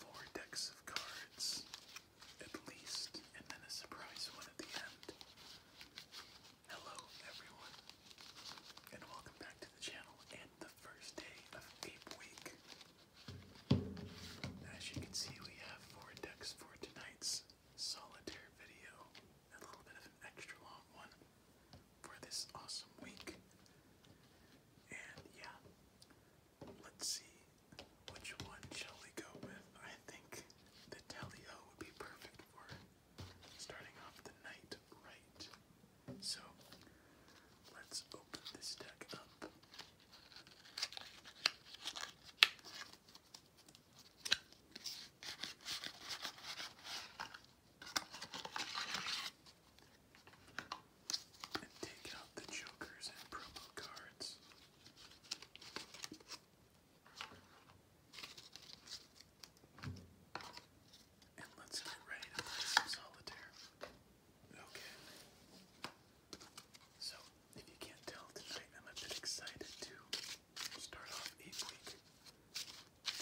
Four decks of cards, at least, and then a surprise one at the end. Hello, everyone, and welcome back to the channel and the first day of Ape Week. As you can see, we have four decks for tonight's solitaire video, a little bit of an extra long one for this awesome week. And yeah, let's see which one shall we go with. I think the Telio would be perfect for starting off the night right. So let's open this deck up. And take out the jokers and promo cards. And let's get ready to play solitaire. Okay. So, if you can't tell tonight, I'm a bit excited to start off each week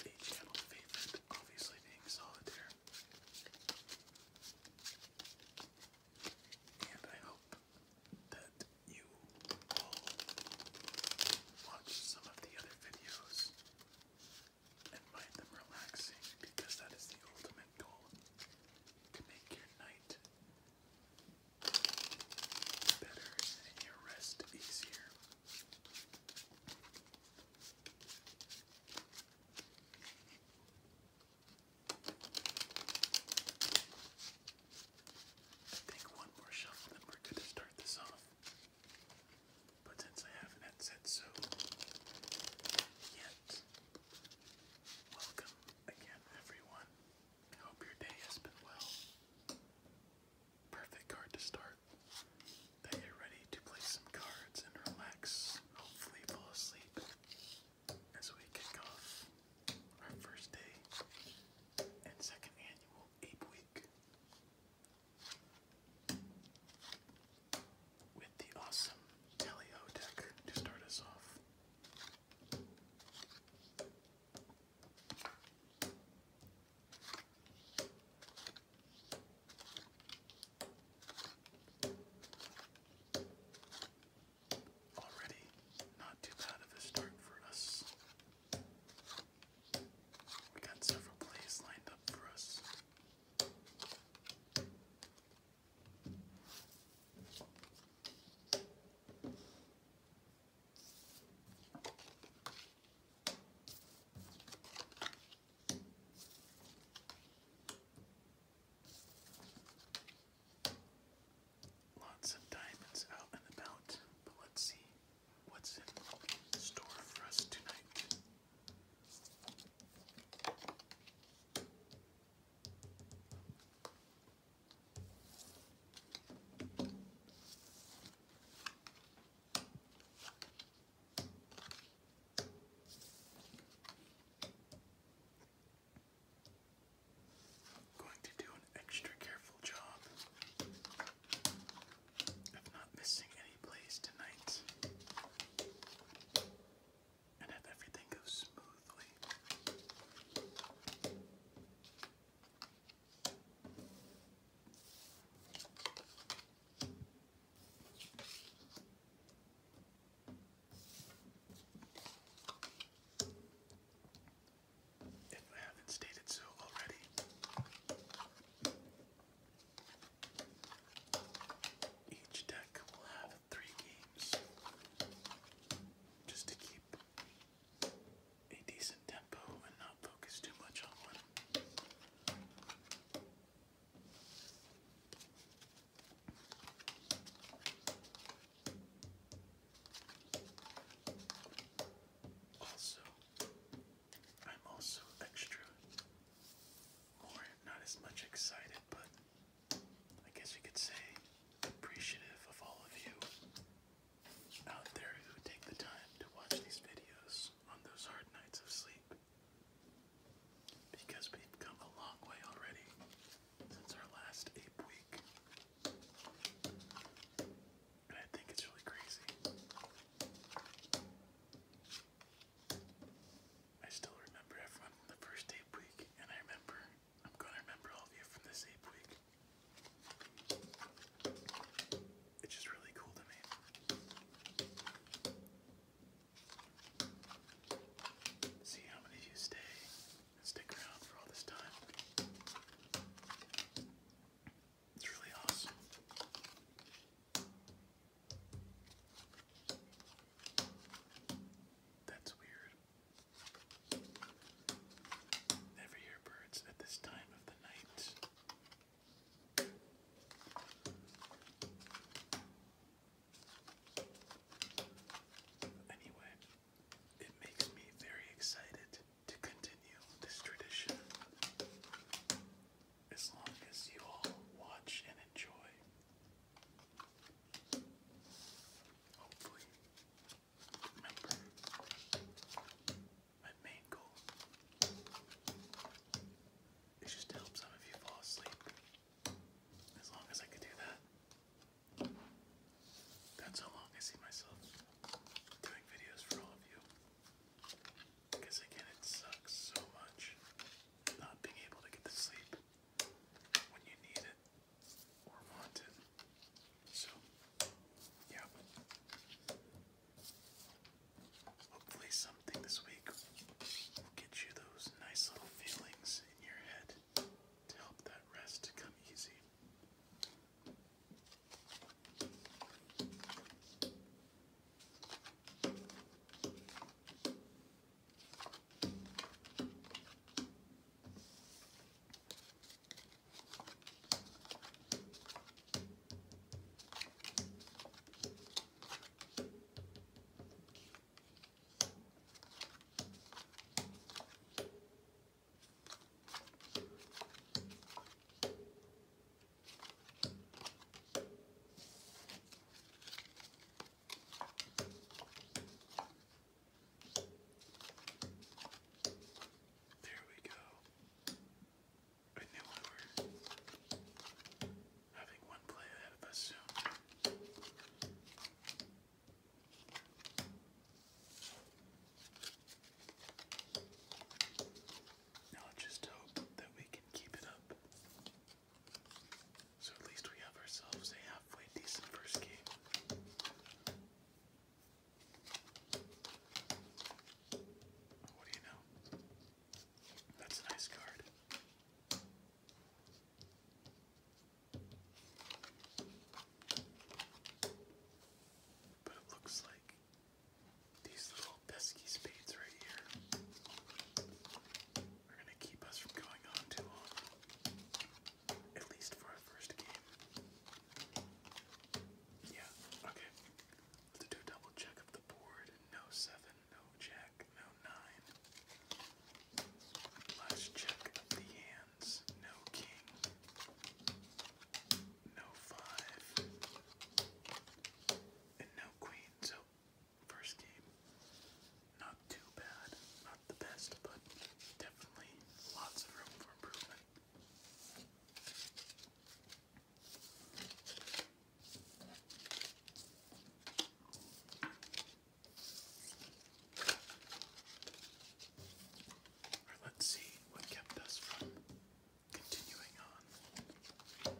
with channel favorite, obviously being solitaire. And I hope that you will watch some of the other videos and find them relaxing because that is the ultimate goal to make your night better and your rest easier. Take one more shuffle and we're good to start this off. But since I haven't had so yet, welcome again, everyone. I hope your day has been well. Perfect card to start that you're ready to play some cards and relax, hopefully fall asleep as we kick off our first day and second annual Ape Week with the awesome Teleo deck to start us off. Already, not too bad of a start for us. We got several plays lined up for us. Lots of diamonds out and about, but let's see what's in store for us tonight. Going to do an extra careful job of not missing any plays tonight and have everything go smoothly. If I haven't stated so already. Each deck will have three games just to keep a decent tempo and not focus too much on one. Also, I'm also extra more, not as much excited, but I guess you could say appreciative of all of you out there who take the time to watch these videos on those hard nights of sleep because we've come a long way already since our last ape week. And I think it's really crazy. I still remember everyone from the first ape week, and I remember, I'm going to remember all of you from this ape week. It's just really cool to me. See how many of you stay and stick around for all this time. It's really awesome. That's weird. Never hear birds at this time of the night. Anyway, it makes me very excited to continue this tradition. As long as you all watch and enjoy. Hopefully, remember my main goal. It just helps some of you fall asleep. As long as I could do that, that's how long I see myself doing videos for all of you. Because again, it sucks so much not being able to get to sleep when you need it or want it. So, yeah. Hopefully, some this week will get you those nice little feelings in your head to help that rest come easy. There we go. I knew we were having one play ahead of us soon. Now just hope that we can keep it up. So at least we have ourselves a halfway decent first game. What do you know? That's a nice card. But it looks like these little pesky spades right here are going to keep us from going on too long. At least for our first game. Yeah, okay. Let's do a double check of the board. No seven, no jack no nine. Last check the hands, no king, no five, and no queen. So, first game, not too bad, not the best, but definitely lots of room for improvement let's see what kept us from continuing on.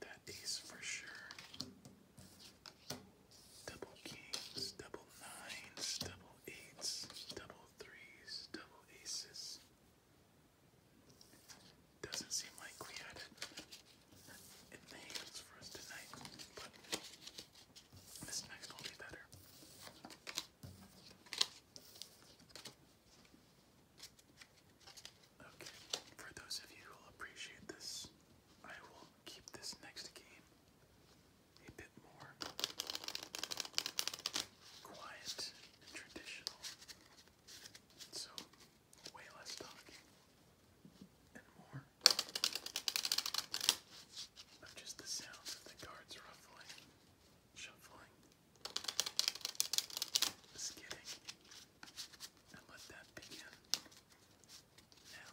That is for sure. Double kings, double nines, double eights, double threes, double aces. Doesn't seem like we had it in for us tonight, but this next will be better. Okay, for those of you who appreciate this, I will keep this next game a bit more quiet and traditional. So way less talking and more of just the sounds of the cards ruffling, shuffling, skidding, and let that begin now.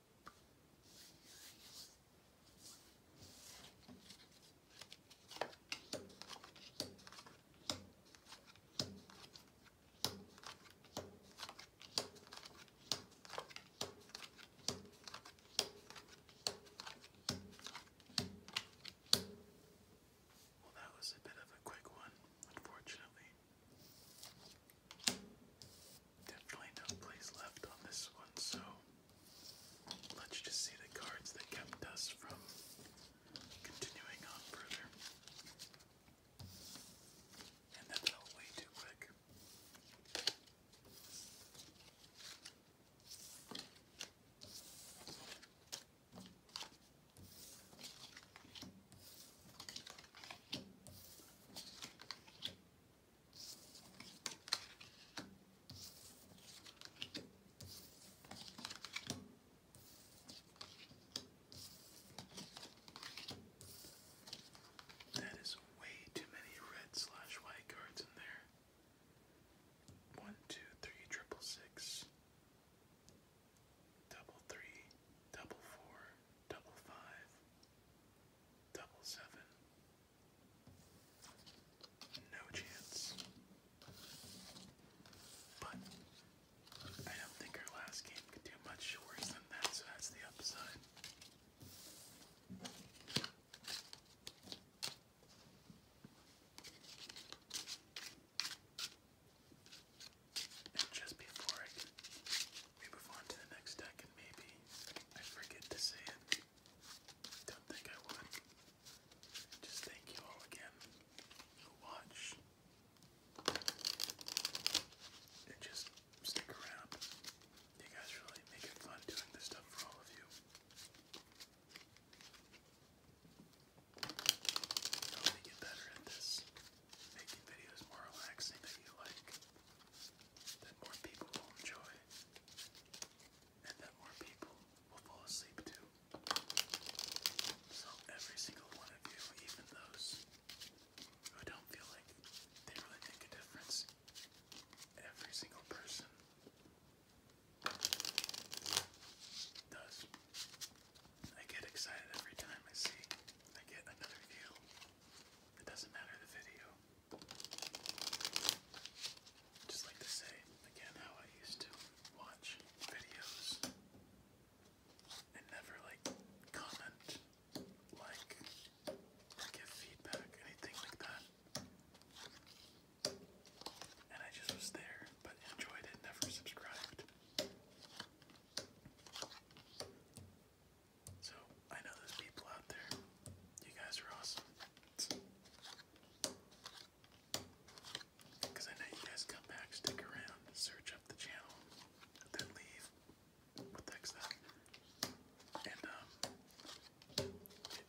Well, that was a bit of a quick one, unfortunately. Definitely no place left on this one, so let's just see the cards that kept us from continuing on further. And that felt way too quick. That is way too many red slash white cards in there. One, two, three, triple six, double three, double four, double five. Double seven. No chance. But I don't think our last game could do much worse than that, so that's the upside. just before I we move on to the next deck, and maybe I forget to say it. Don't think I would. Just thank you all again who watch and just stick around. You guys really make it fun doing this stuff for all of you. Help me get better at this, making videos more relaxing that you like that more people will enjoy and that more people will fall asleep to. So every single one of you, even those who don't feel like they really make a difference, every single person does. I get excited every time I see I get another view it doesn't matter the video. Just like to say again how I used to watch videos and never like comment, like, give feedback, anything like that. And I just was there, but enjoyed it, never subscribed. So, I know those people out there. You guys are awesome. Because I know you guys come back, stick around, search up the channel, then leave. What the heck's And, um,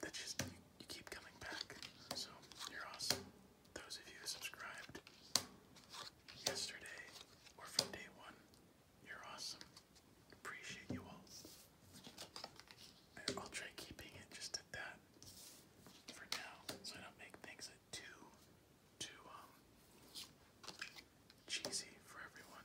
that just, you, keep coming back. So, you're awesome. Those of you subscribed yesterday or from day one, you're awesome. Appreciate you all. I'll try keeping it just at that for now, so I don't make things too, too um cheesy for everyone.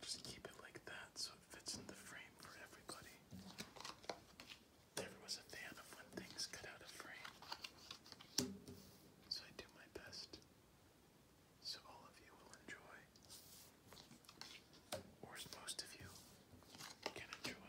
Just keep it like that so it fits in the frame for everybody. Never was a fan of when things cut out of frame. So I do my best so all of you will enjoy, or most of you can enjoy.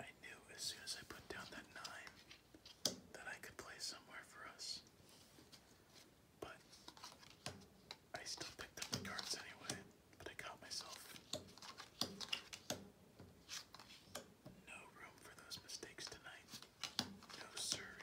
I knew as soon as I put down that nine that I could play somewhere for us. But I still picked up the cards anyway, but I caught myself. No room for those mistakes tonight. No, sorry.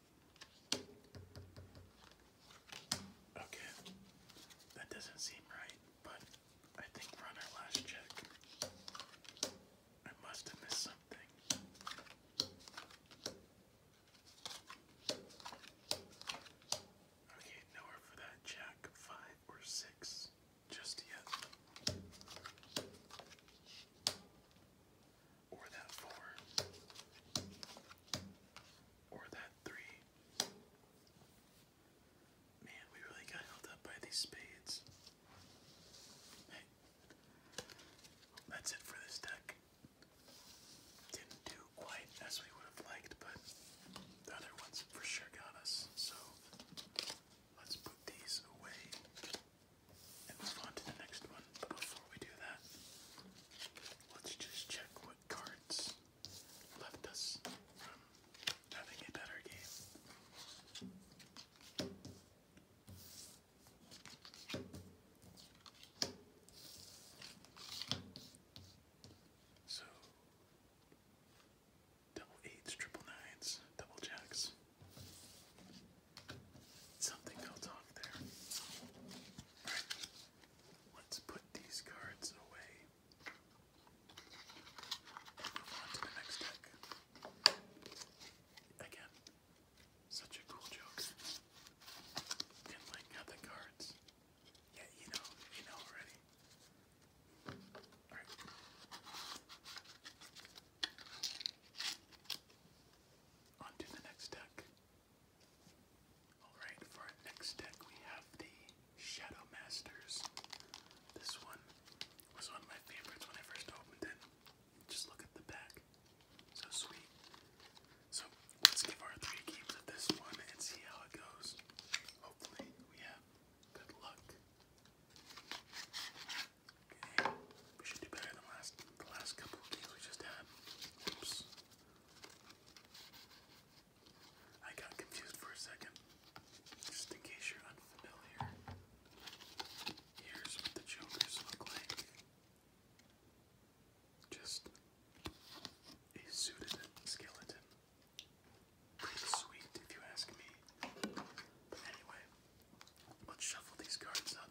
Okay. That doesn't seem right, but I think we're on our last check. I must have missed something. Okay, nowhere for that jack, five or six, just yet. Or that four or that three. Man, we really got held up by these spades. Hey, that's it for this deck. Didn't do quite as we would have liked, but the other ones for sure got us. So let's put these away and move on to the next one. But before we do that, let's just check cards left us from having a better game. So double eights, triple nines, double jacks. Something fell off there. Let's put these cards away move on to the next deck. Again, such a cool joke. And like how cards. Yeah, you know, you know already. Alright. On to the next deck. Alright, for our next deck we have the Shadow Masters. This one was one of my favorites when I first opened it. Just look at the back. So sweet. So let's give our three games of this one and see how it goes. Hopefully we have good luck. Okay, we should do better than last the last couple of games we just had. Oops. I got confused for a second. Just in case you're unfamiliar, here's what the Jokers look like. Just a suited skeleton. Pretty sweet, if you ask me. anyway, let's shuffle these cards up.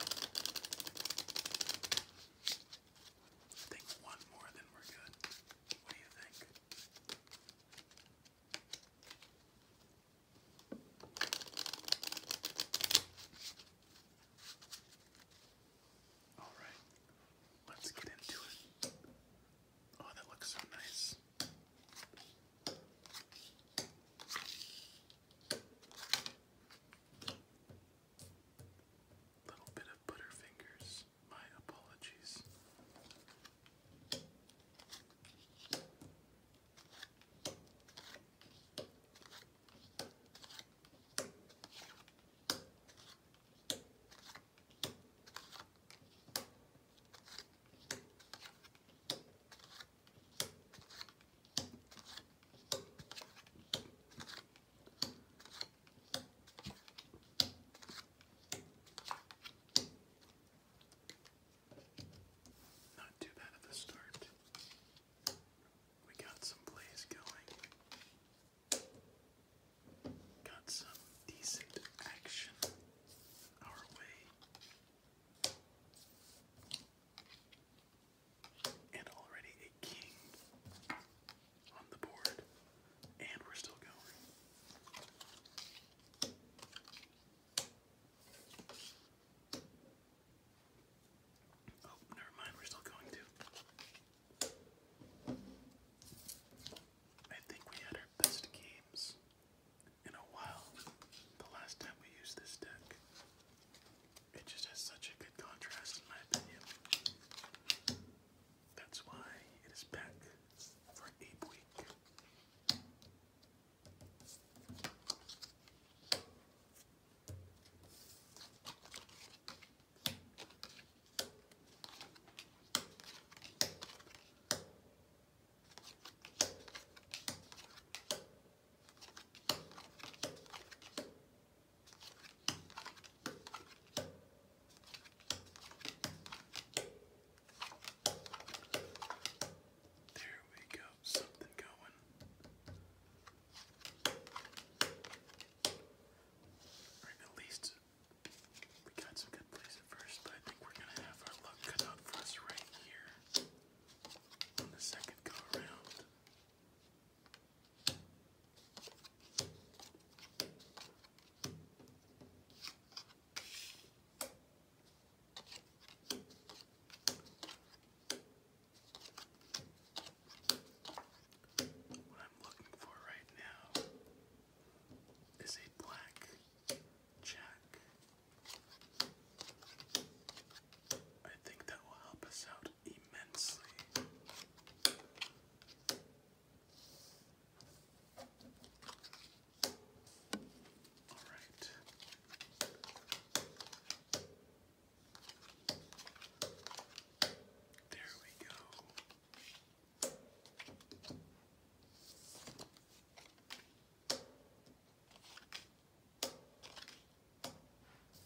I think one more, then we're good. What do you think? All right, let's get into it. Oh, that looks so nice. Little bit of Butterfingers. My apologies. Not too bad at the start. We got some plays going. Got some decent action our way and already a king on the board, and we're still going. Oh, never mind, we're still going to. I think we had our best games in a while the last time we used this deck. It just has such a good contrast, in my opinion. That's why it is back for Ape Week. There we go, something going. Or at least we got some good plays at first, but I think we're gonna have our luck cut out for us right here on the second go around. What I'm looking for right now is a black jack. I think that will help us out immensely. All right. There we go.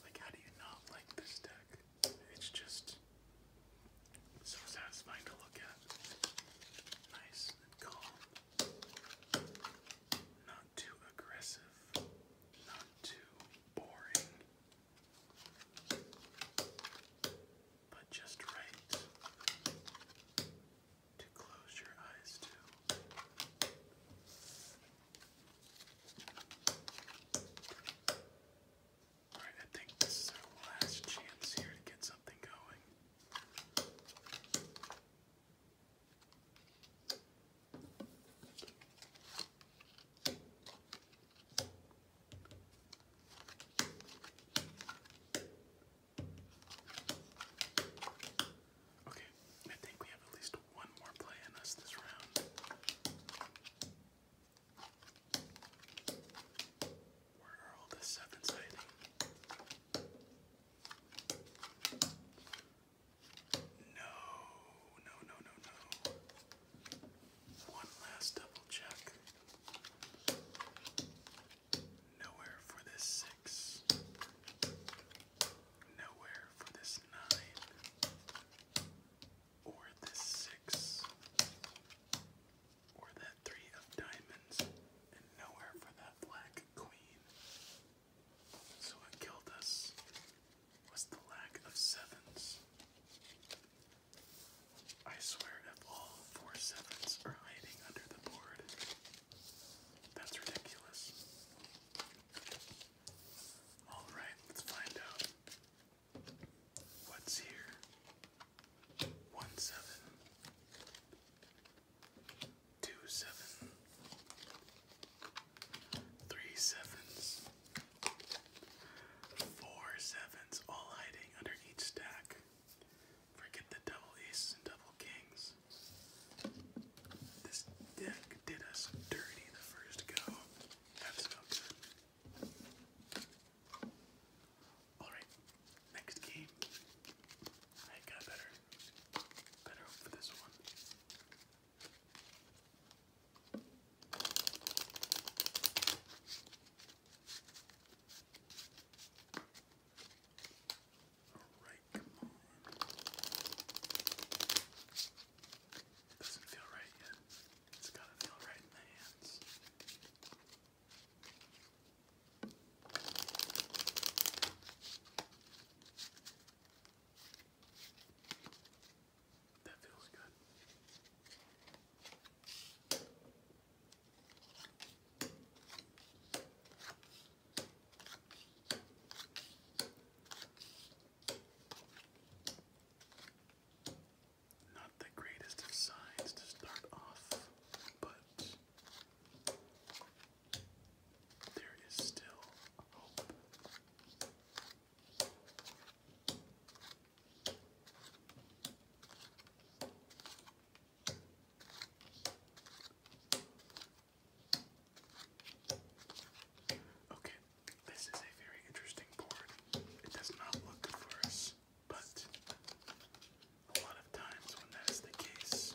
Like, how do you not like this deck? It's just so satisfying to look at. Nice and calm. Not too aggressive. Not too boring. But just right to close your eyes to. Alright, I think this is our last chance here to get something going. Okay, I think we have at least one more play in us this round. Where are all the sevens hiding? No, no, no, no, no. One last double check. Nowhere for this six. Nowhere for this nine or this six, or that three of diamonds, and nowhere for that black queen. So what killed us was the lack of sevens. I swear if all four sevens are hiding under the board, that's ridiculous. Alright, let's find out What's here? One seven, two seven, three sevens, four sevens, all hiding under each stack. Forget the double aces and double kings. This deck did us dirty the first go. That's no good. All right, next game. I got better, better hope this one. Alright, come on. Doesn't feel right yet. It's got a nail right in the hands. That feels good. Not the greatest of signs to start off, but there is still hope. Okay, this is a very interesting board. It does not look good for us, but a lot of times when that is the case,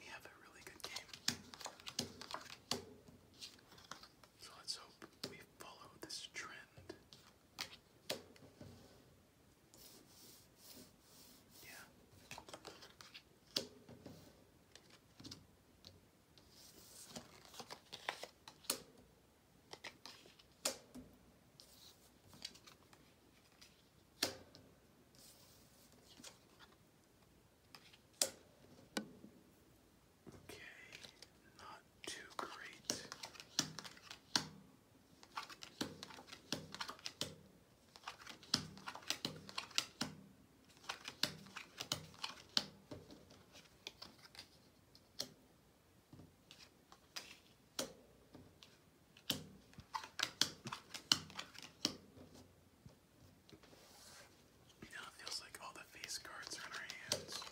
we have a really good game. So let's hope we follow this trend. Yeah. Okay, not too great. Now it feels like all the face cards are in our hands.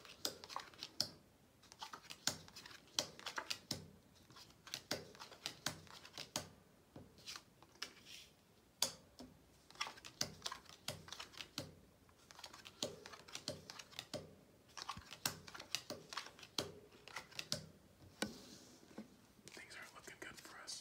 Things aren't looking good for us.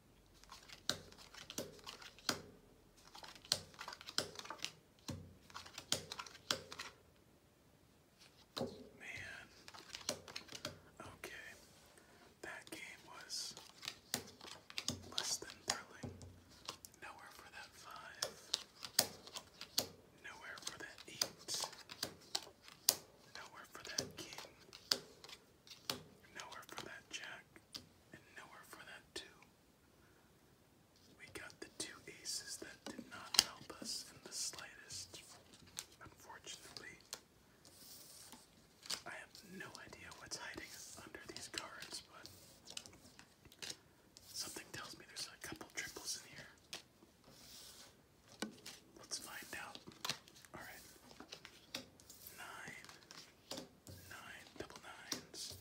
Man. Okay. That game was less than thrilling. Nowhere for that five. Nowhere for that eight. Nowhere for that king. Nowhere for that jack, and nowhere for that two. We got the two aces that did not help us in the slightest, unfortunately. I have no idea what's hiding under these cards, but something tells me there's a couple triples in here. Let's find out. Alright nine, nine, double nines.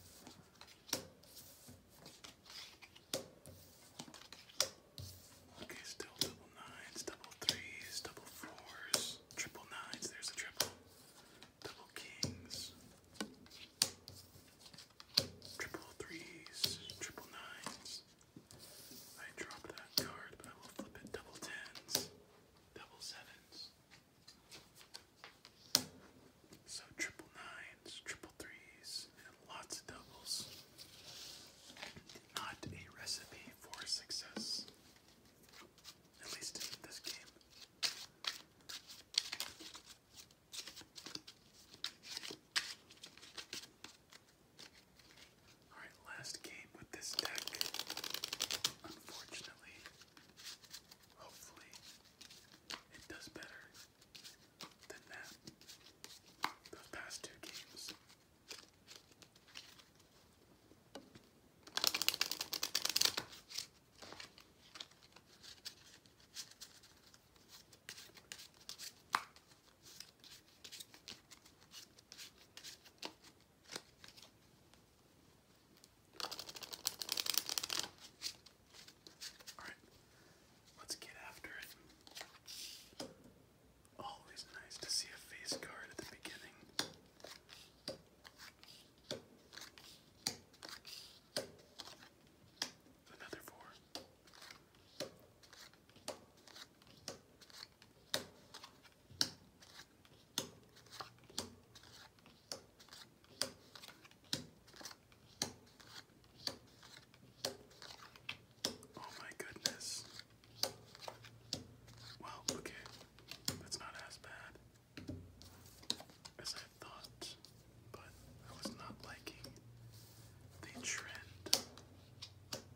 Okay, still double nines, double threes, double fours, triple nines. There's a triple. Double kings. Triple threes, triple nines. I dropped that card, but I will flip it double tens double sevens. So triple nines, triple threes, and lots of doubles. Not a recipe for success, at least in this game. Alright, last game with this deck. Unfortunately, hopefully, it does better than that. Those past two games. Alright, let's get after it. Always nice to see a face card at the beginning. Another four. Oh my goodness. Well, okay. That's not as bad as I thought, but I was not liking the trend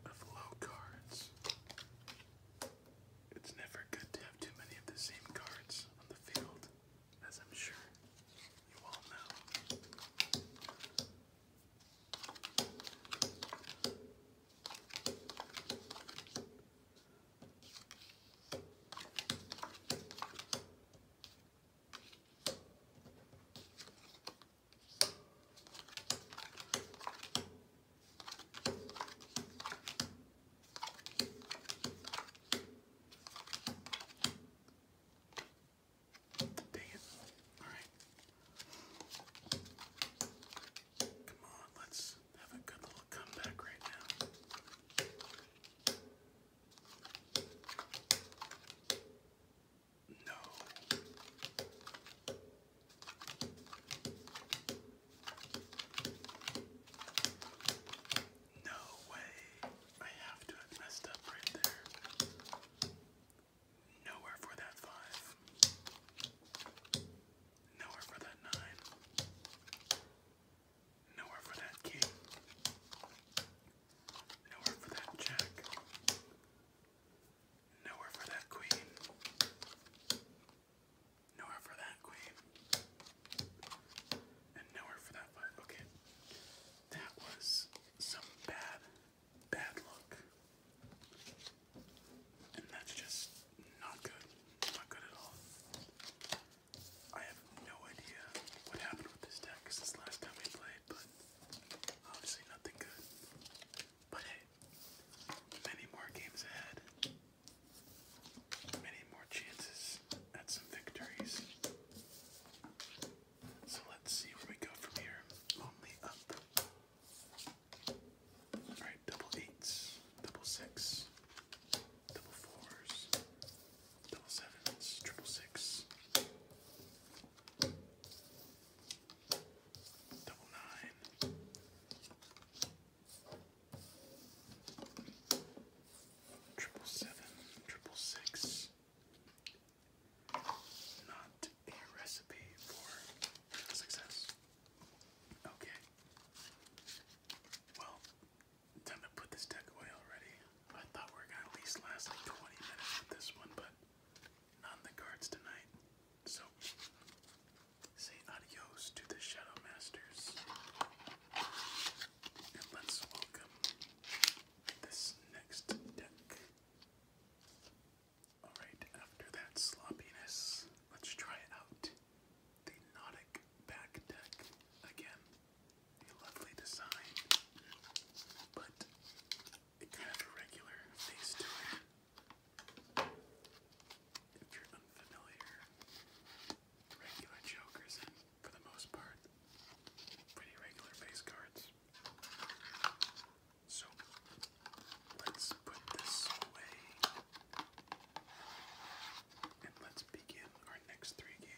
of low cards. It's never good to have too many of the same cards on the field, as I'm sure you all know. Dang it. Alright. Come on, let's have a good little comeback right now. No. No way. I have to have messed up right there. Nowhere for that five. Nowhere for that nine. Nowhere for that king. Nowhere for that jack. Nowhere for that queen. Nowhere for that queen. And nowhere for that five. Okay. That was some bad, bad luck. And that's just not good. Not good at all. I have no idea what happened with this deck since last time we played, but obviously nothing good. But hey, many more games ahead many more chances at some victories. So let's see where we go from here. Only up. Alright, double eights, double six, double fours, double sevens, triple six, double nine. Triple seven, triple six. Not a recipe for success. Okay. Well, time to put this deck away already. I thought we were gonna at least last like 20 minutes with this one, but not in the cards tonight. So say adios to the Shadow Masters. And let's welcome this next deck. Alright, after that sloppiness, let's try out the Nautic Back deck again. A lovely design, but it kind a regular face to it if you're unfamiliar, regular jokers and for the most part, pretty regular face cards. So let's put this away and let's begin our next three games.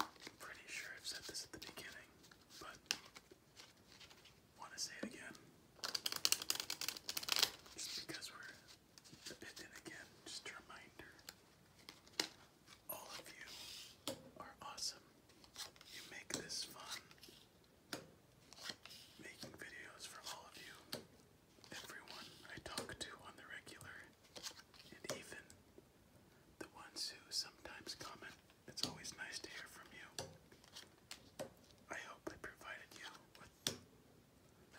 I'm pretty sure I've said this at the beginning, but want to say it again. Just because we're a bit in again, just reminder. All of you are awesome. You make this fun. Making videos for all of you. Everyone I talk to on the regular and even the ones who sometimes comment. It's always nice to hear from you. I hope I provided you with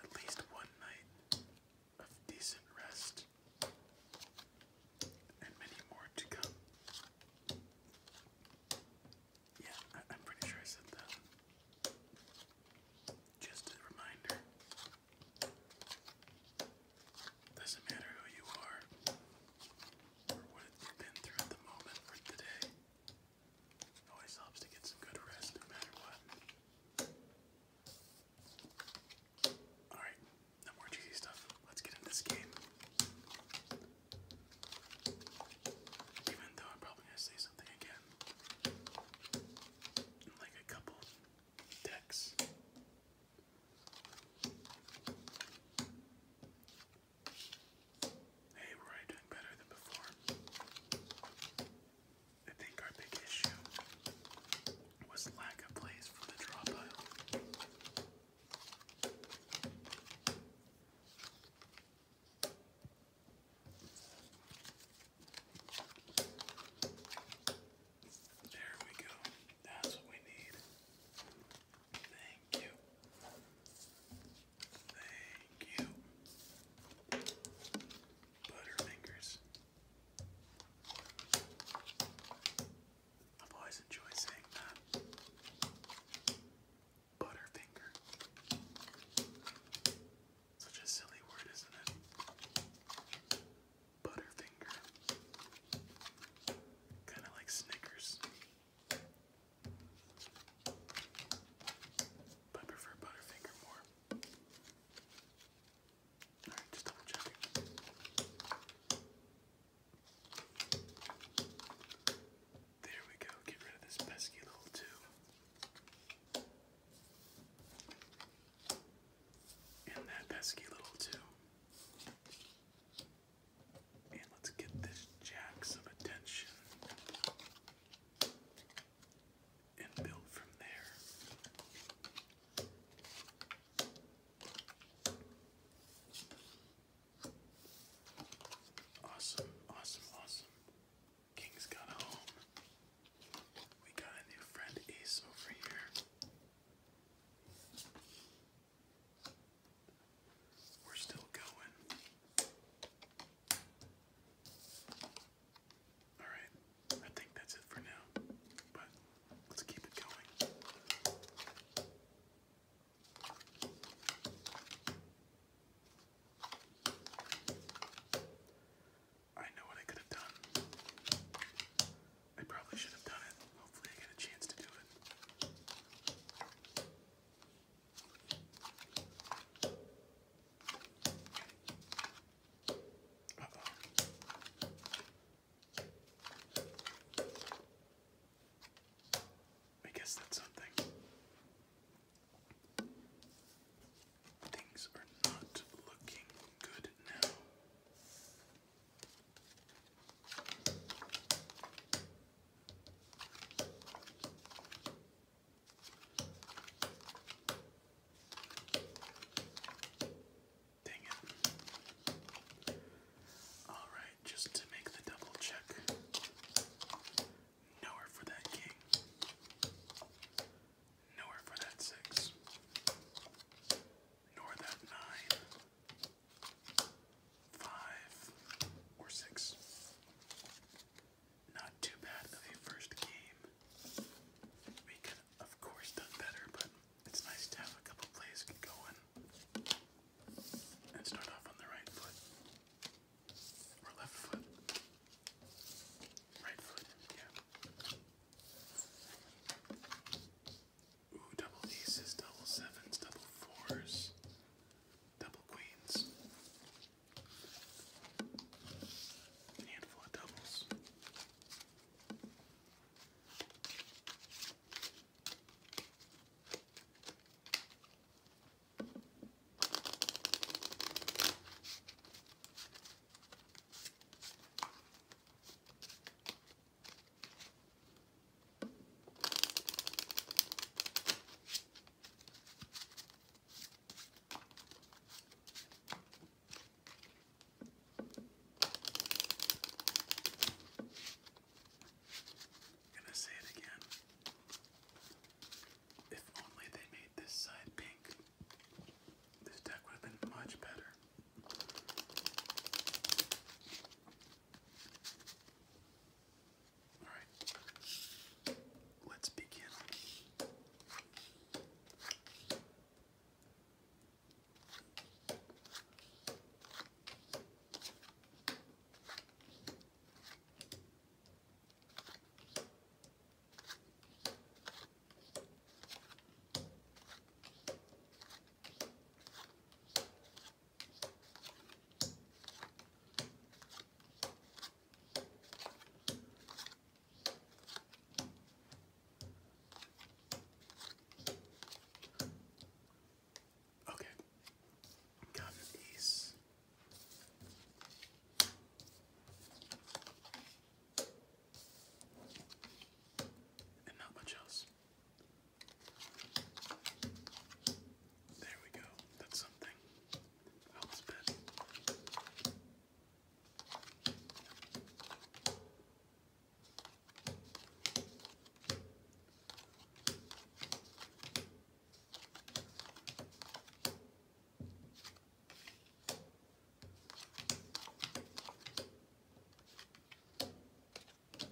at least one night of decent rest and many more to come. Yeah, I am pretty sure I said that. Just a reminder doesn't matter who you are or what you've been through at the moment or today. always helps to get some good rest no matter what. Alright, no more cheesy stuff. Let's get into this game. Even though I'm probably gonna say something again like a couple decks. Hey, we better than before. I think our big issue was lack of plays from the draw pile. There we go. That's what we need. Thank you. Thank you. Butterfingers. I've always saying that. Butterfinger. Such a silly word, isn't it? Butterfinger. Kind of like Snickers. But I prefer Butterfinger more. Alright, just double checking. There we go, get rid of this pesky little two. And that pesky little two. And let's get this jack some attention. And build from there. Awesome, awesome, awesome. King's got a home. We got a new friend Ace over here. We're still going. Alright, I think that's it for now, but let's keep it going. I know what I could have done. I probably should have done it. Hopefully, I get a chance to do it. I guess that's something. Things are not looking good now. Dang it. Alright, just to make the double check. Nowhere for that king. Nowhere for that six. Nor that nine. Five or six. Not too bad of a first game. We could of course done better, but it's nice to have a couple plays going. And start off on the right foot. Or left foot. Right foot, yeah. Ooh, double aces, double sevens, double fours, double queens. handful of doubles. I'm gonna say it again. If only they made this side pink, this deck would have been much better. All right, let's begin. Okay, got these. And not much else. There we go. That's something. Helps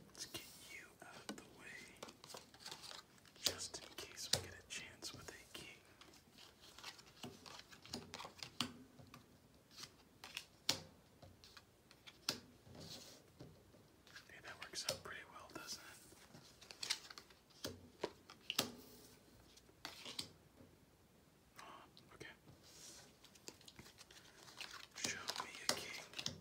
Let's get you out of the way just in case we get a chance with a king. Hey, that works out pretty well, doesn't it? Oh, okay. Show me a king.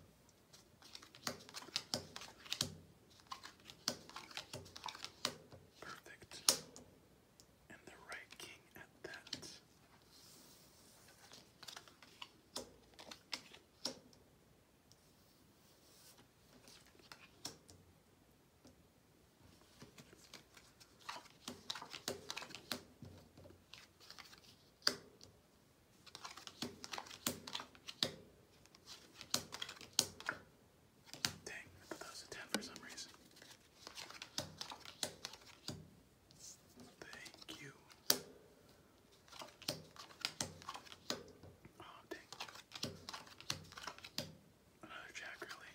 Perfect. And the right king at that. Dang, I thought that was 10 for some reason. Thank you. Oh, dang. Another jack, really.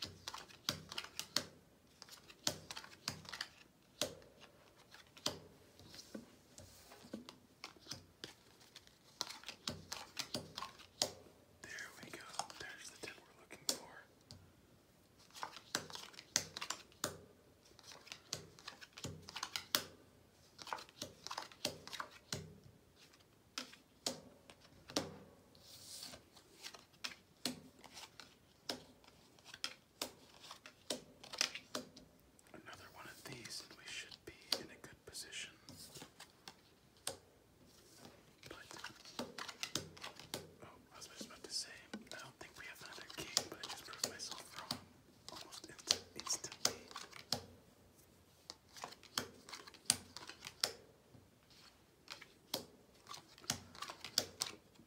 There we go. There's the tip we're looking for. Another one of these, and we should be in a good position. But, oh, I was just about to say, I don't think we have another king, but I just proved myself wrong almost instantly.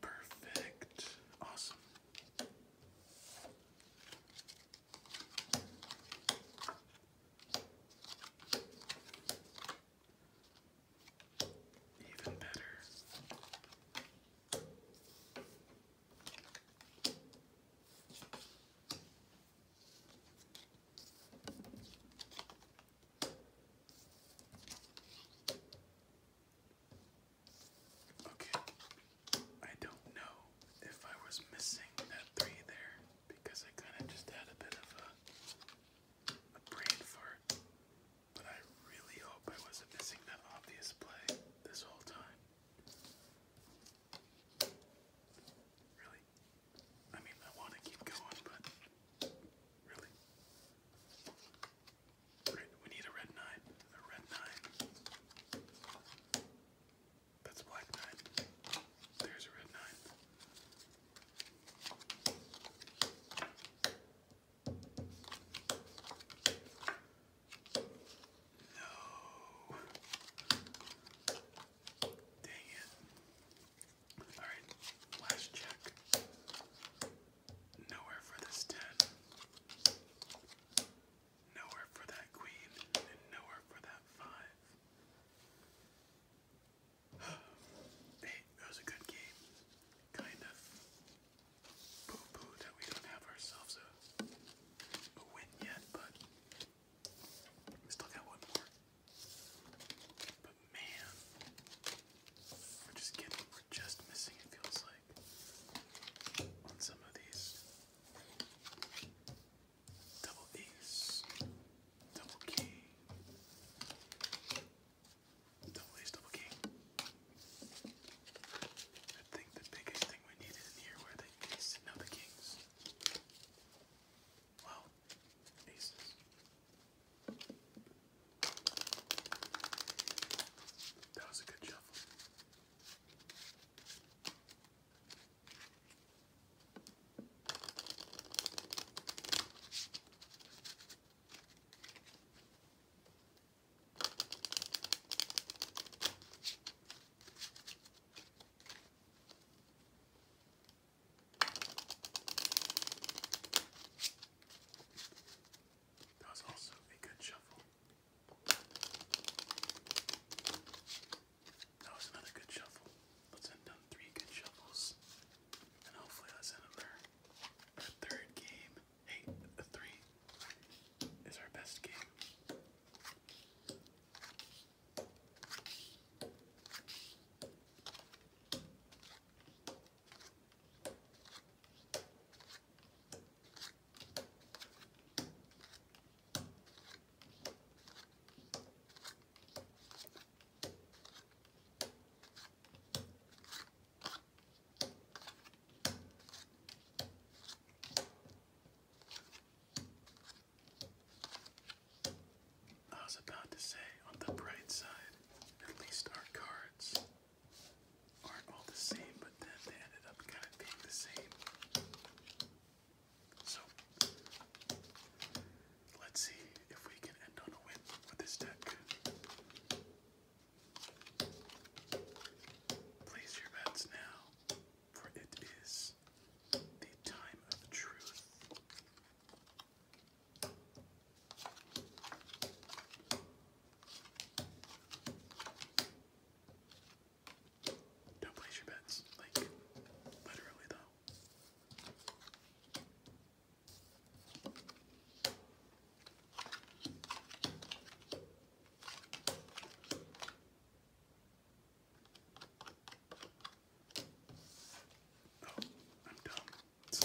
Perfect. Awesome. Even better. Okay. I don't know if I was missing that three there because I kind of just had a bit of a, a brain fart. But I really hope I wasn't missing that obvious play this whole time. Really? I mean, I want to keep going, but really? We need a red nine. A red nine. That's black nine. There's a red nine. No. Dang it. Alright, last check. Nowhere for this ten. Nowhere for that queen, and nowhere for that five. hey, it was a good game. Kind of poo-poo that we don't have ourselves a win yet, but we still got one more. But man, we're just kidding. We're just missing, it feels like, on some of these. Double ace, double key, double ace, double king. think the biggest thing we needed in here were the aces, no, the kings. Well, aces. That was a good shuffle. That was also a good shuffle. That was another good shuffle. Let's end on three good shuffles. And hopefully that's another our third game. Hey, the three is our best game. I was about to say, on the bright side, at least our cards aren't all the same, but then they ended up kind of being the same. So let's see if we can end on a win with this deck. Place your bets now, for it is the time of truth. Don't place your bets, like, literally, though. Oh, I'm dumb. Thank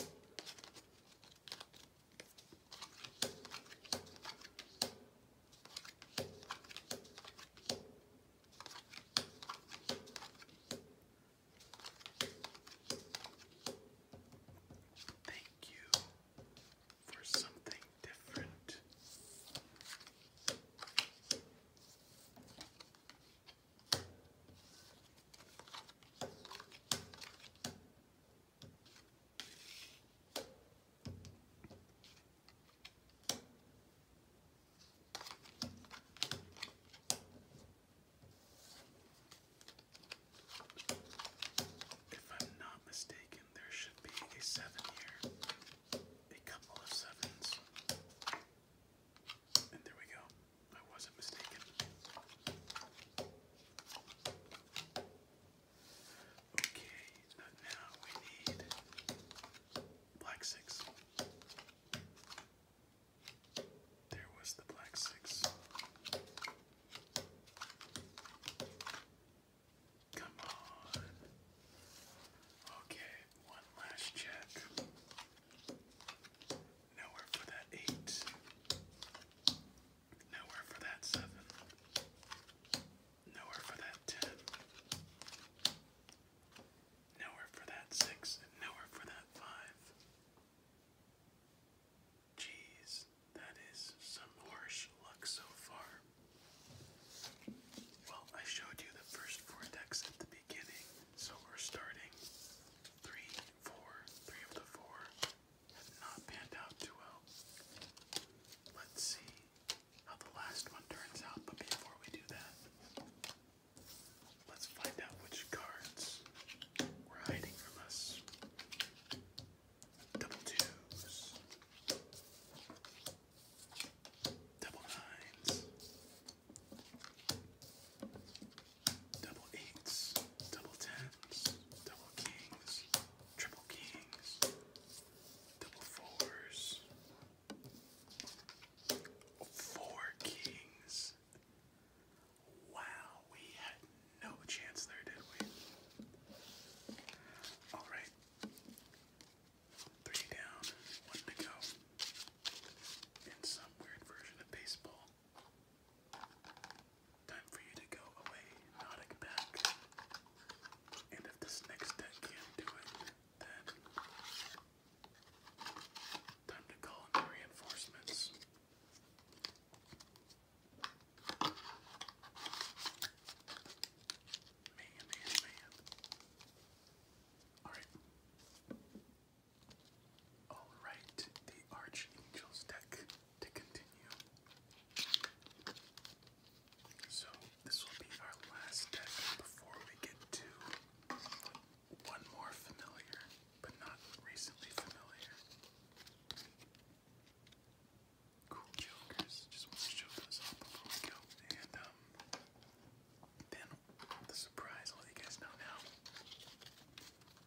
you for something different. If I'm not mistaken, there should be a seven here. A couple of sevens. And there we go. I wasn't mistaken. Okay, now we need black six. There was the black six. Come on. Okay, one last check. Nowhere for that eight. Nowhere for that seven. Nowhere for that ten. Nowhere for that six. nowhere for that five. Jeez, that is some harsh luck so far. Well, I showed you the first four decks at the beginning, so we're starting three, four, three of the four, have not panned out too well. Let's see how the last one turns out, but before we do that, let's find out which cards were hiding from us. Double twos, double nines, double eights, double tens, double kings, triple kings, double fours, four kings. Wow, we had no chance there, did we? All right. Three down, one to go. In some weird version of baseball. Time for you to go away, Nautic back. And if this next deck can't do it, then time to call in reinforcements. Man, man, man. Alright. Alright, the Archangels deck to continue. So, this will be our last deck before we get to one more familiar, but not recently familiar. Cool jokers. Just want to show those off before we go. And, um, then the surprise, I'll let you guys know now.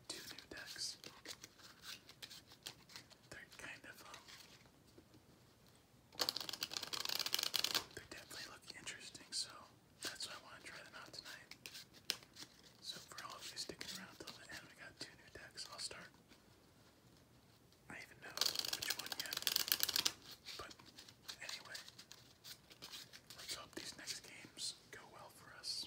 Two new decks. They're kind of um, they definitely look interesting, so that's why I want to try them out tonight. So for all of you sticking around till the end, we got two new decks. I'll start. I even know which one yet. But anyway, let's hope these next games go well for us.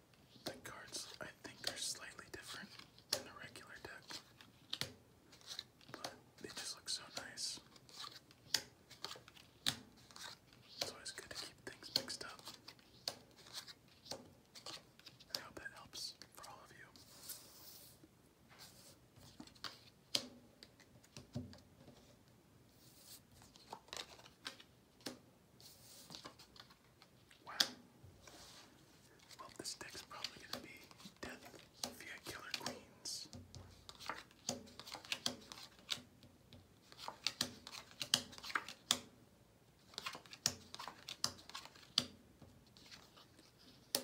the cards, I think, are slightly different than the regular deck, but they just look so nice. It's good to keep things mixed up. I hope that helps for all of you. Wow. Well, this deck's probably going to be death via killer queens.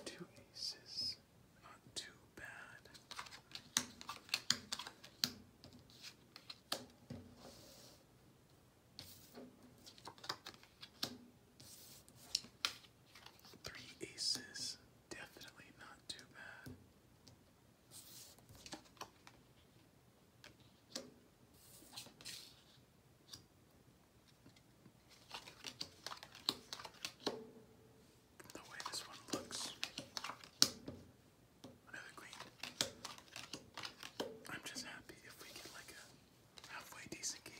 Two aces, not too bad. Three aces, definitely not too bad. The way this one looks. Another green. I'm just happy if we get like a halfway decent game,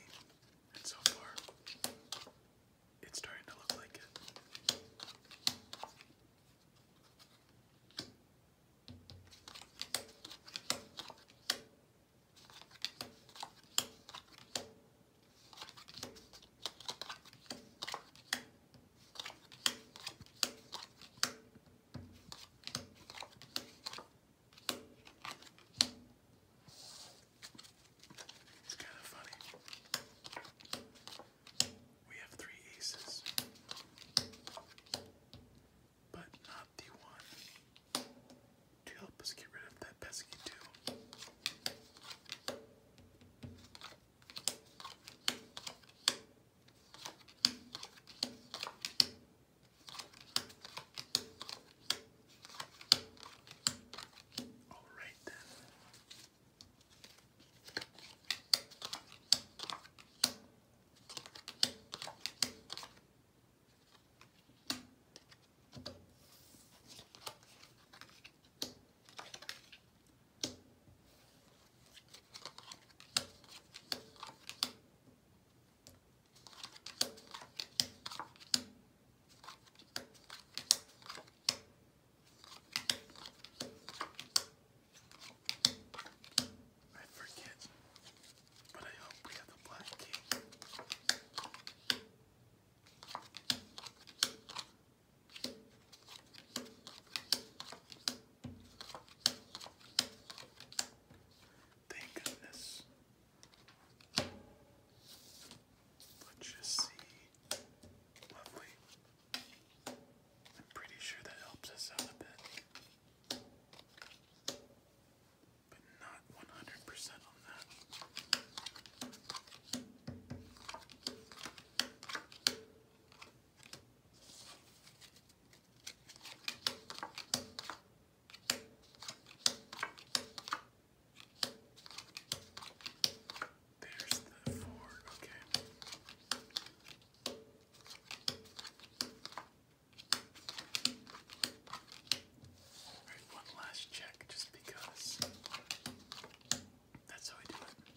and so far it's starting to look like it. It's kind of funny. We have three aces, but not the one to help us get rid of that pesky two. All right then. I forget, but I hope we have the black cake. Thank goodness. Let's just see. Lovely. I'm pretty sure that helps us out a bit. But not 100% on that. There's the four, okay. Alright, one last check just because that's how I do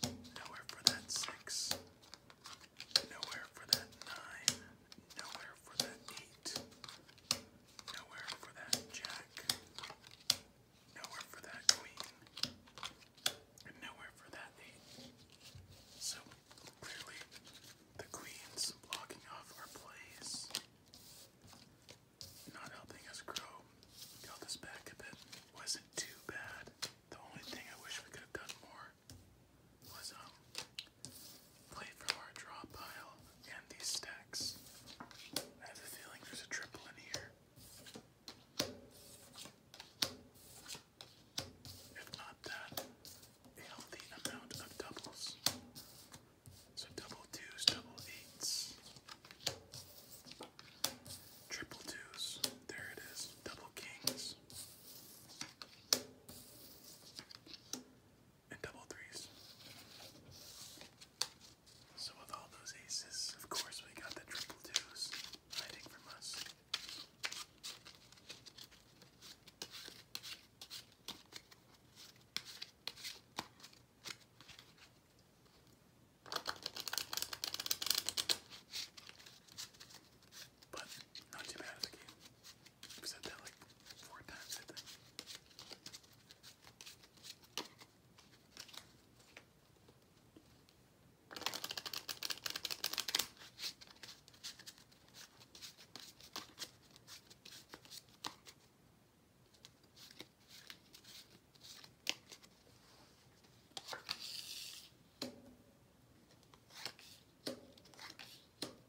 it. Nowhere for that six, nowhere for that nine, nowhere Nowhere for that eight. Nowhere for that jack. Nowhere for that queen. And nowhere for that eight. So clearly the queens blocking off our plays. Not helping us grow. Got this back a bit. Wasn't too bad. The only thing I wish we could have done more was um play from our draw pile and these stacks. I have a feeling there's a triple in here. If not that, a healthy amount of doubles. So double twos, double eights. Triple twos, there it is. Double kings and double threes. So with all those aces, of course we got the triple twos hiding from us. But not too bad I've said that like four times, I think.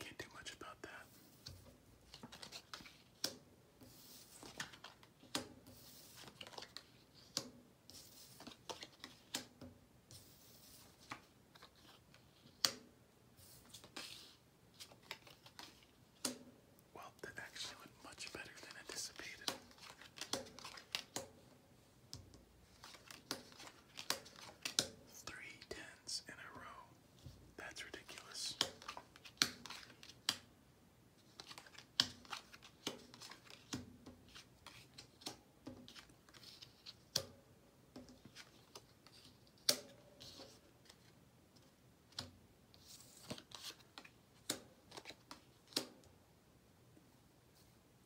Can't do much about that. Well, that actually went much better than anticipated. Three tens in a row. That's ridiculous.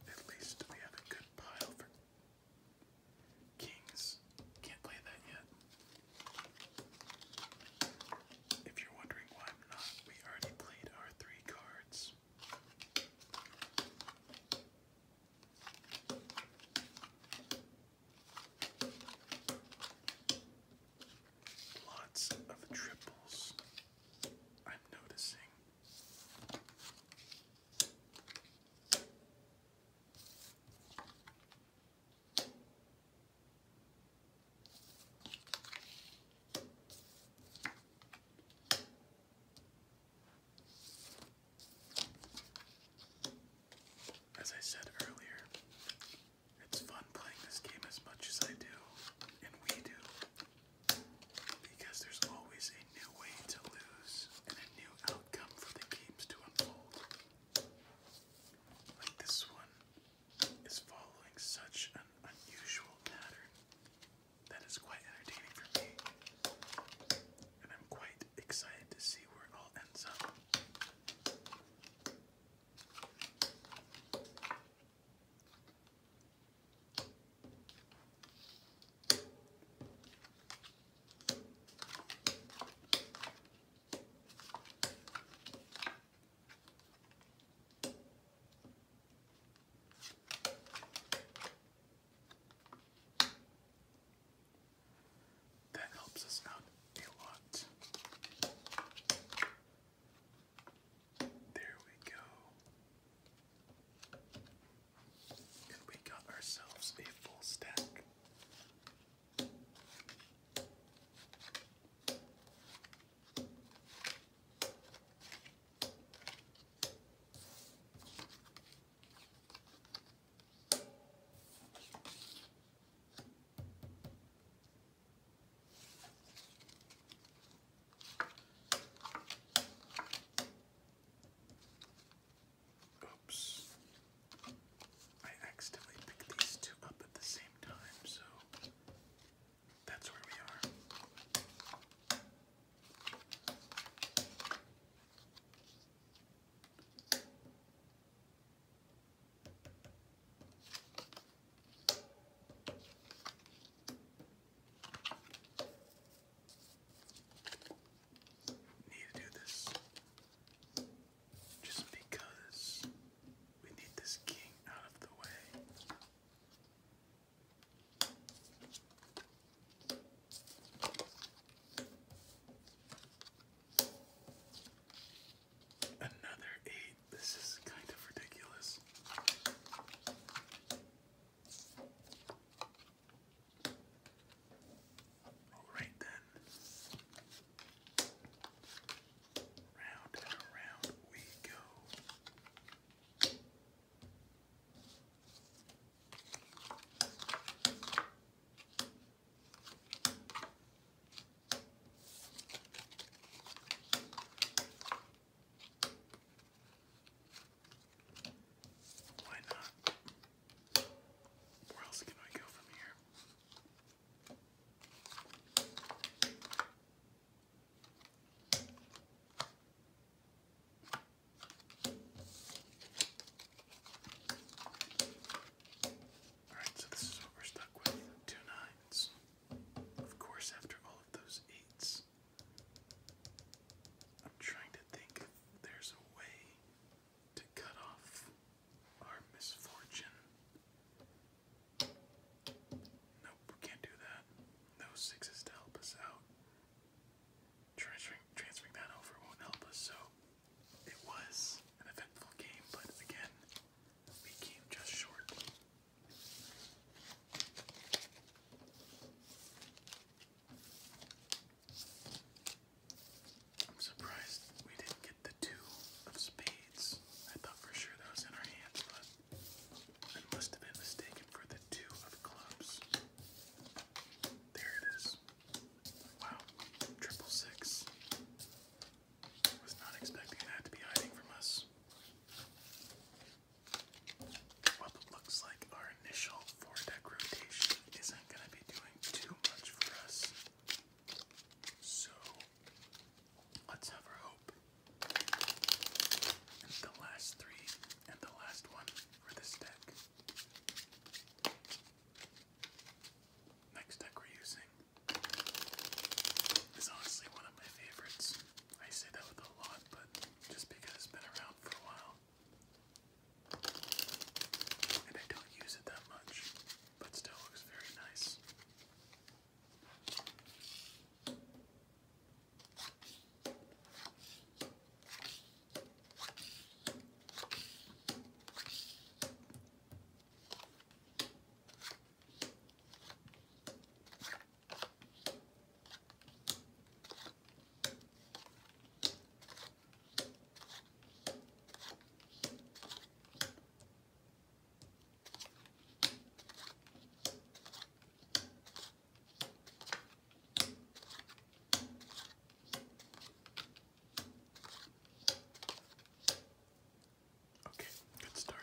At least we have a good pile for kings. Can't play that yet. If you're wondering why I'm not, we already played our three cards. Lots of triples, I'm noticing. As I said earlier, it's fun playing this game as much as I do, and we do, because there's always a new way to lose and a new outcome for the games to unfold. Like this one is following such an unusual pattern that is quite entertaining for me, and I'm quite excited to see where it all ends up. That helps us out a lot. There we go. And we got ourselves a full stack. Oops. I accidentally picked these two up at the same time, so that's where we are. Need to do this just because we need this king out of the way. Another eight. This is kind of ridiculous. Alright then. Round and around we go. Why not? Where else can I go from here? Alright, so this is what we're stuck with. Two nines. Of course, after all of those eights, I'm trying to think if there's a way to cut off our misfortune. Nope, we can't do that. No sixes to help us out. Transferring, transferring that over won't help us, so it was an eventful game, but again, we came just short. I'm surprised we didn't get the two of spades. I thought for sure that was in our hands, but I must have been mistaken for the two of clubs. There it is. Wow, triple six. Was not expecting that to be hiding from us. Well, looks like our initial four deck rotation isn't going to be doing too much for us. So, let's have our hope. the last three, and the last one for this deck. Next deck we're using is honestly one of my favorites. I say that with a lot, but just because it's been around for a while. And I don't use it that much, but still looks very nice. Okay, good start.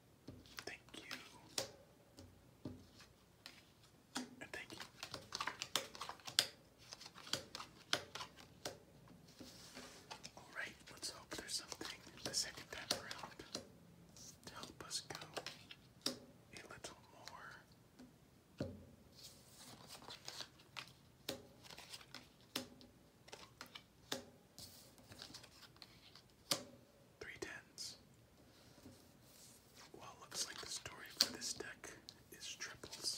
Thank you. thank you. Alright, let's hope there's something the second time around to help us go a little more. Three tens. Well, looks like the story for this deck is triples.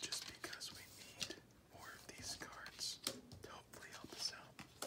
Just because we need more of these cards to hopefully help us out.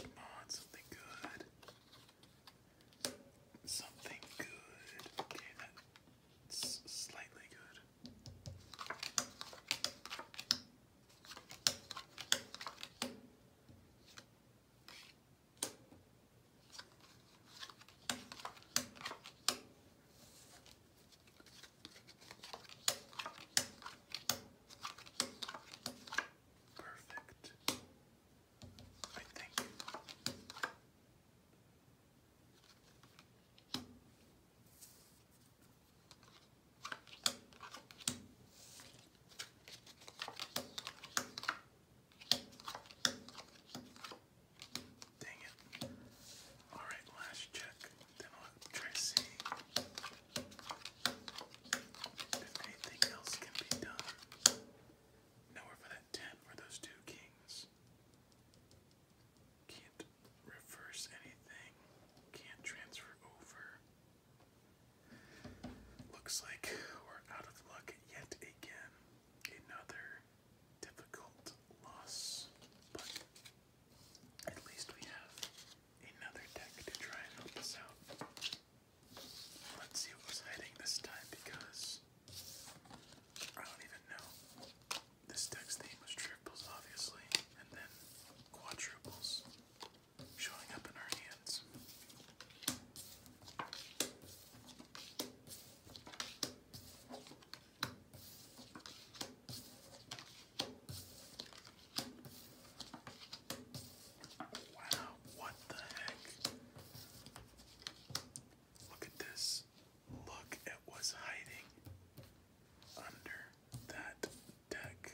Come on, something good. Something good. Okay, that's slightly good. Perfect. I think. Dang it. Alright, last check. try see if anything else can be done. Nowhere for that ten for those two kings. Can't reverse anything. Can't transfer over. Looks like we're out of luck yet again. Another difficult loss, but at least we have another deck to try and help us out. Let's see what was hiding this time because I don't even know. This deck's theme was triples, obviously, and then quadruples showing up in our hands. Wow. What the heck? Look at this. Look at what's hiding under that deck.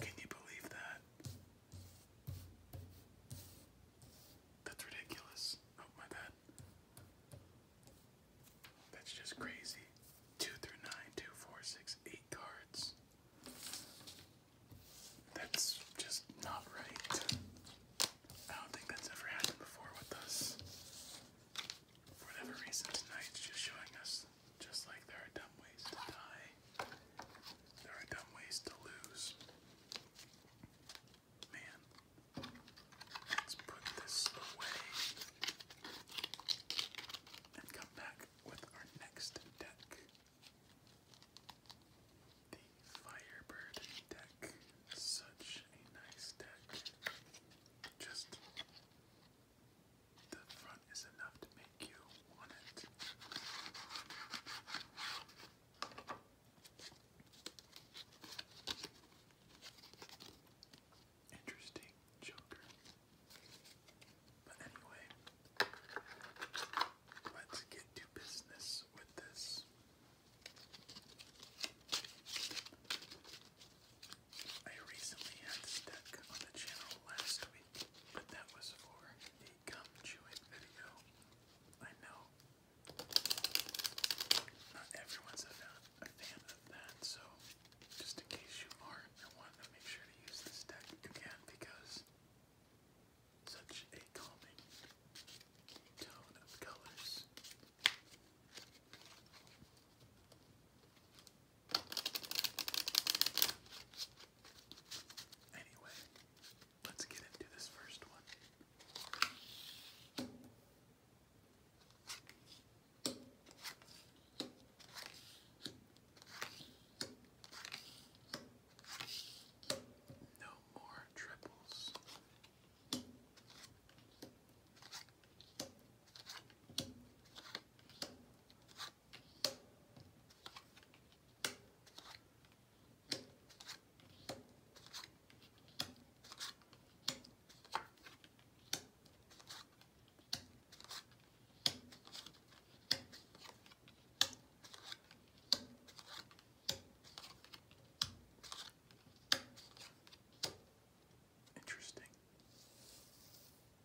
Can you believe that? That's ridiculous. Oh, my bad. That's just crazy. Two through nine, two, four, six, eight cards. That's just not right. I don't think that's ever happened before with us. For whatever reason, tonight just showing us just like there are dumb ways to die, there are dumb ways to lose. Man, let's put this away and come back with our next deck. The Firebird deck. Such a nice deck. Just the front is enough to make you want it. Interesting Joker. But anyway, let's get to business with this. I recently had this deck on the channel last week, but that was for a gum chewing video. I know not everyone's a fan, of that, so just in case you are I wanted to make sure to use this deck again because such a calming tone of colors. Anyway, let's get into this first one. No more triples. Interesting.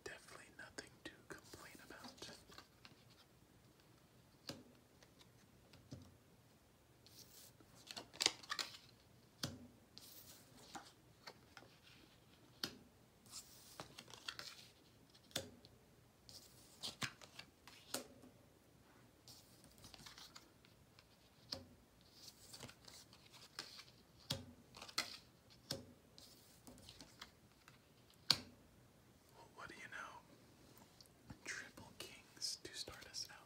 Definitely nothing to complain about. Well, what do you know? Triple Kings to start us out.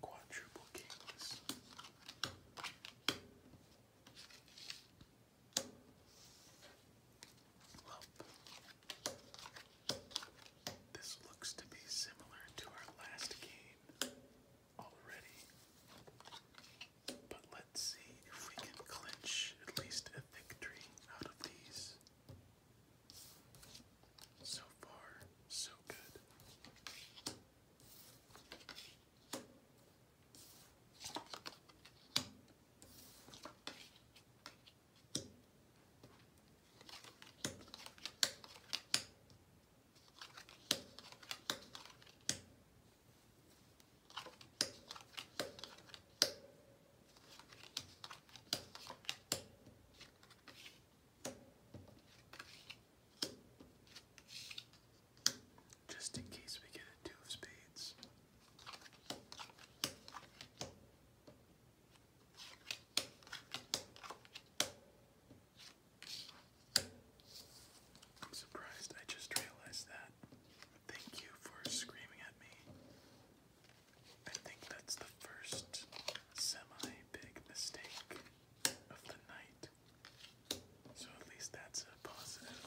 Quadruple kings. This looks to be similar to our last game already. But let's see if we can clinch at least a victory out of these. So far, so good. Just in case we get a two of spades. I'm surprised I just realized that. Thank you for screaming at me. I think that's the first semi big mistake of the night. So at least that's a positive.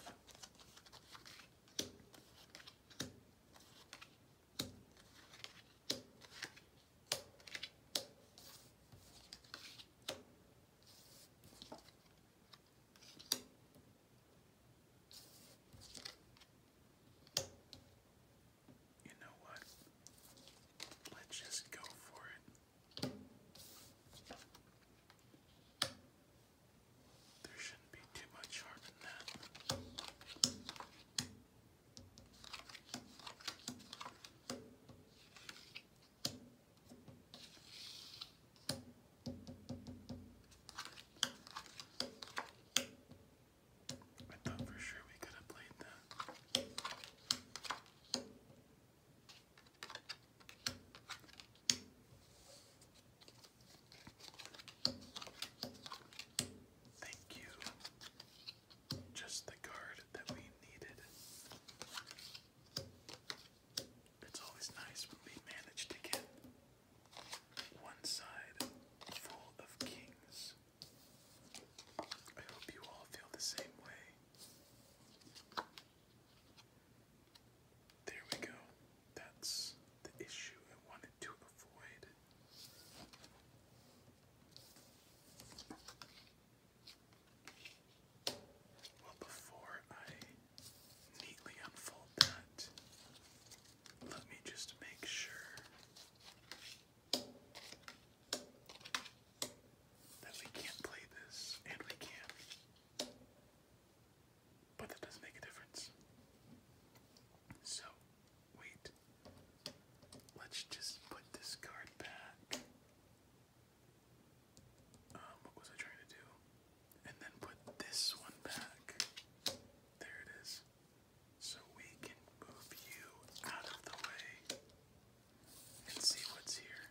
You know what? Let's just go for it. There shouldn't be too much harm in that. I thought for sure we could have played that. Thank you. Just the card that we needed. It's always nice when we manage to get one side full of kings. I hope you all feel the same way. There we go. That's the issue I wanted to avoid. Well, before I neatly unfold that, let me just make sure that we can't play this, and we can. But that doesn't make a difference. So, wait. Let's just put this card back. Um, what was I trying to do? And then put this one back. There it is. So we can move you out of the way and see what's here.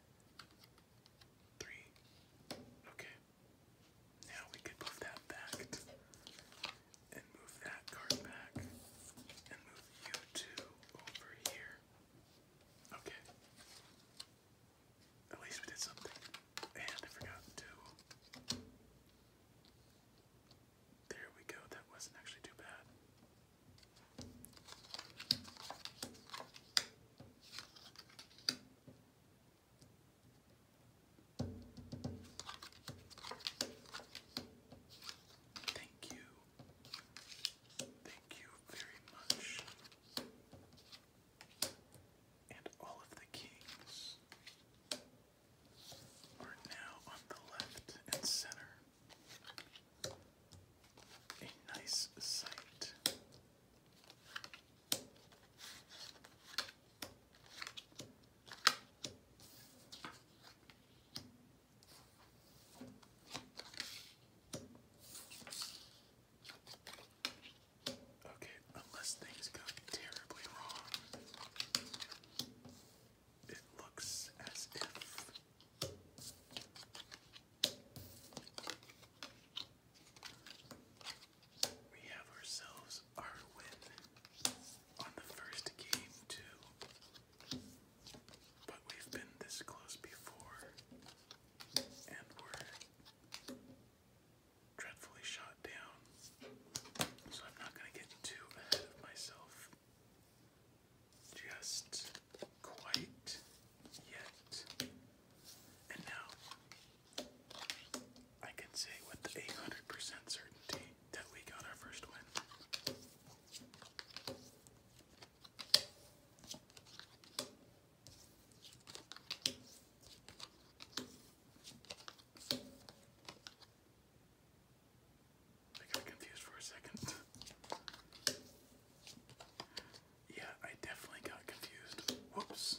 Three. Okay. Now we could move that back and move that card back and move you two over here. Okay. At least we did something. And I forgot to. There we go. That wasn't actually too bad. Thank you. Thank you very much. And all of the kings are now on the left and center. A nice sight. Okay, unless things go terribly wrong, it looks as if we have ourselves our win on the first game, too. But we've been this close before and were dreadfully shot down. So I'm not going to get too ahead of myself just quite yet. And now I can say with 800% certainty that we got our first win. I got confused for a second. yeah, I definitely got confused. Whoops.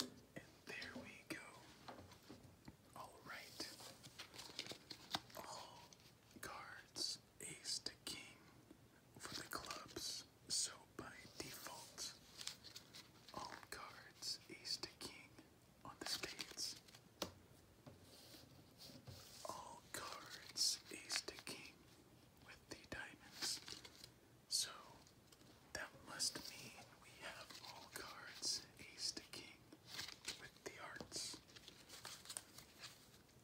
And there we go. All right. All cards ace to king for the clubs. So by default, all cards ace to king on the spades. All cards ace to king with the diamonds. So that must mean we have all cards ace to king with the arts.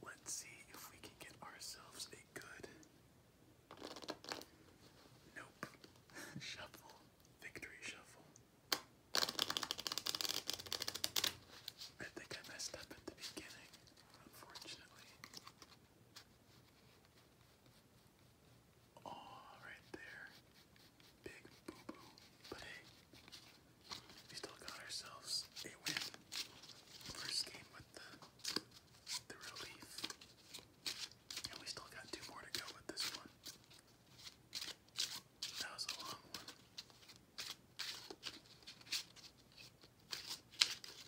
Let's see if we can get ourselves a good. Nope. shuffle. Victory shuffle. I think I messed up at the beginning, unfortunately. All right there. Big boo boo. But hey, we still got ourselves a win. First game with the the relief. And we still got two more to go with this one. That was a long one.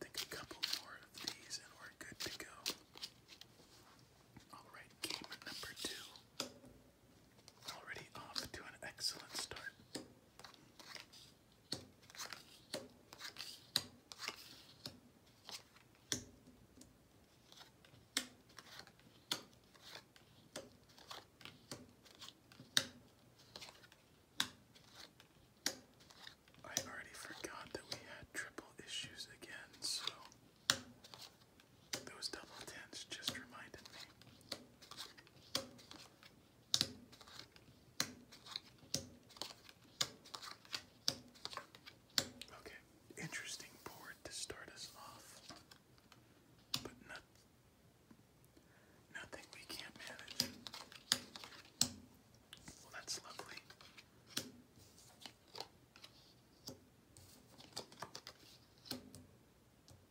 Take a couple more of these and we're good to go. Alright, gamer number two. Already off to an excellent start. I already forgot that we had triple issues again, so those double tens just reminded me. Okay, interesting board to start us off, but nothing we can't manage. Well, that's lovely.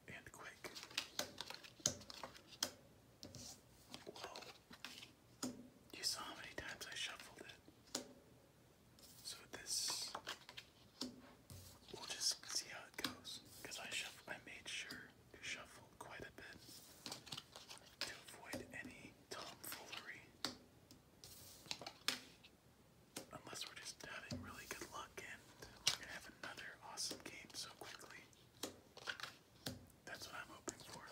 And quick. Whoa. You saw how many times I shuffled it. So this, we'll just see how it goes. Because I shuffle, I made sure to shuffle quite a bit to avoid any tomfoolery. Unless we're just having really good luck and we're gonna have another awesome game so quickly. That's what I'm hoping for.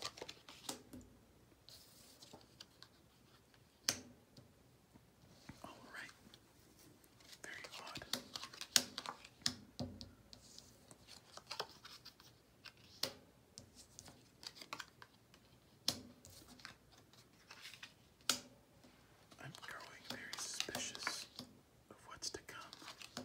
All right. Very odd. I'm growing very suspicious of what's to come.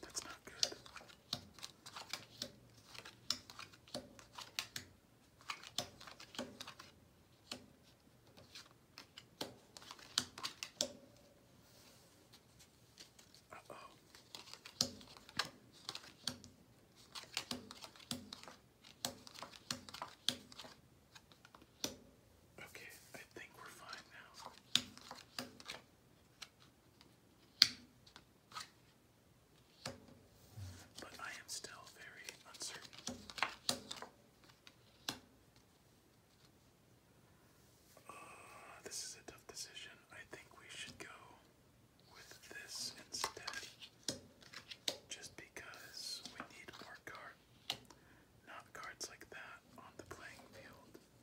That's not good. Okay, I think we're fine now. But I am still very uncertain. Uh, this is a tough decision. I think we should go with this instead. Just because we need more cards. Not cards like that on the playing field.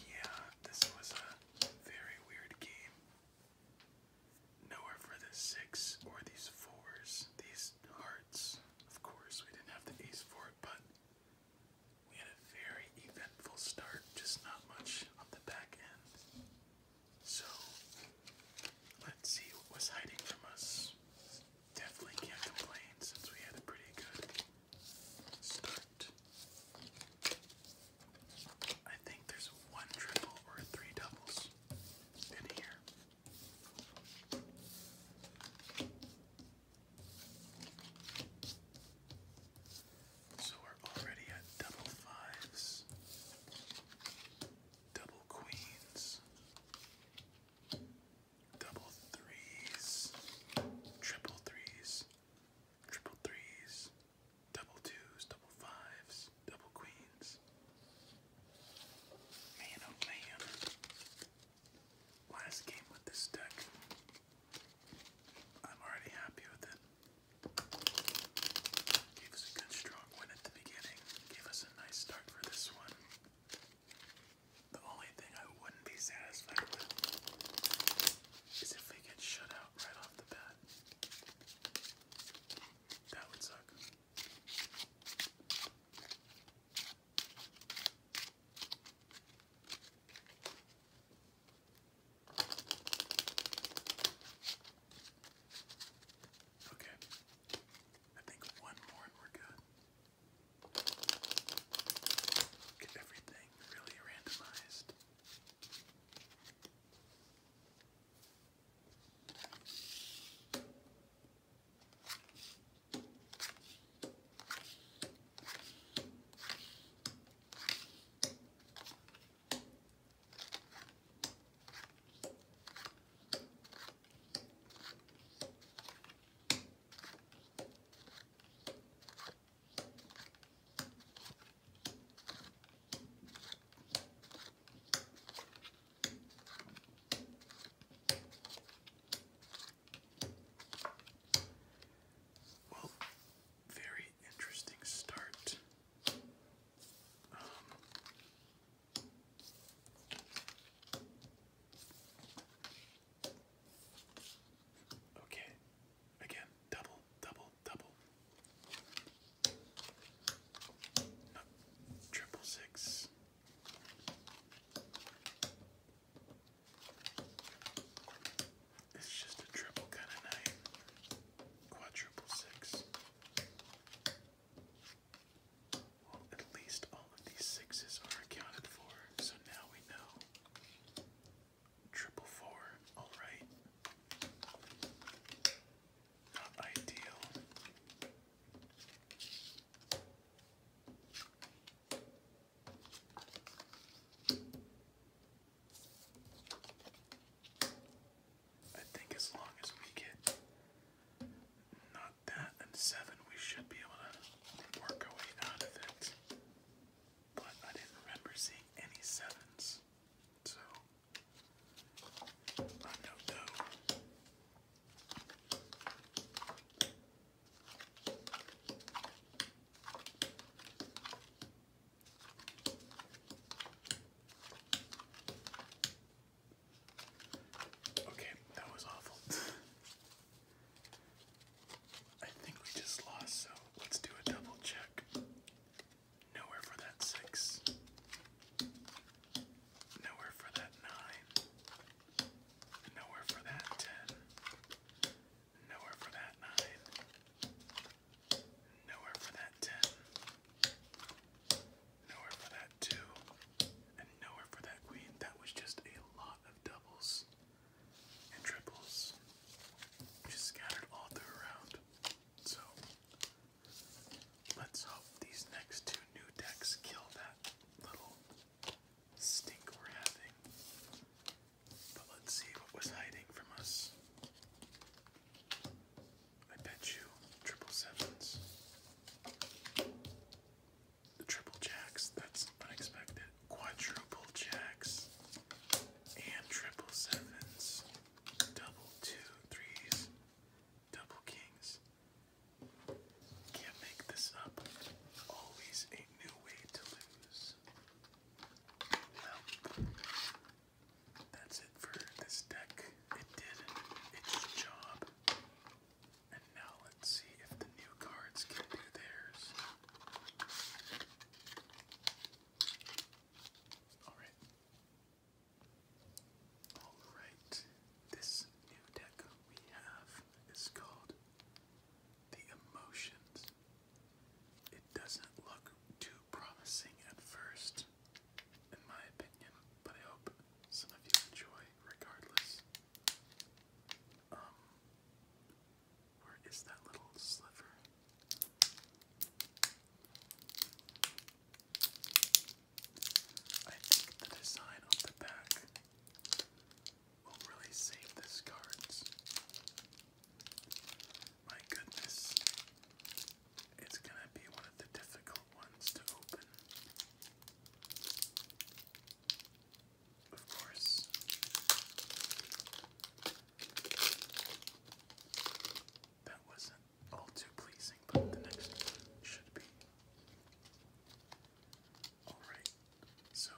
Yeah, this was a very weird game. Nowhere for the six or these fours, these hearts. Of course, we didn't have the ace for it, but we had a very eventful start, just not much on the back end. So, let's see what was hiding from us. Definitely can't complain since we had a pretty good start. I think there's one triple or three doubles in here. So we're already at double fives double queens, double threes, triple threes, triple threes, double twos, double fives, double queens. Man, oh man. Last game with this deck. I'm already happy with it. Gave us a good strong win at the beginning. Gave us is a nice start for this one. The only thing I wouldn't be satisfied with is if we get shut out right off the bat. That would suck. Okay. I think one more and we're good. Get everything really randomized. Well, very interesting start. Um, Okay, again, double, double, double. No, triple six. It's just a triple kind of night. Quadruple six. Well, at least all of these sixes are accounted for, so now we know. Triple four, alright. Not ideal. I think as long as we get not that and seven, we should be able to work our way out of it. But I didn't remember seeing any sevens. So I know. Okay, that was awful. I think we just lost, so let's do a double check. Nowhere for that six. Nowhere for that nine. Nowhere for that ten. Nowhere for that nine. Nowhere for that ten. Nowhere for that two, and nowhere for that queen. That was just a lot of doubles and triples, just scattered all through So let's hope these next two new decks kill that little stink we're having. But let's see what was hiding from us. I bet you triple sevens the triple jacks, that's unexpected. Quadruple jacks and triple sevens, double two threes, double kings. Can't make this up. Always a new way to lose. Well, that's it for this deck. It did its job. And now let's see if the new cards can do theirs. Alright. Alright. This new deck we have is called The Emotions. It doesn't look too promising at first, in my opinion, but I hope some of you enjoy regardless. Um, where is that little sliver? I think the design on the back will really save this cards. My goodness, it's gonna be one of the difficult ones to open. Of course. That wasn't all too pleasing, but the next should be. Alright, so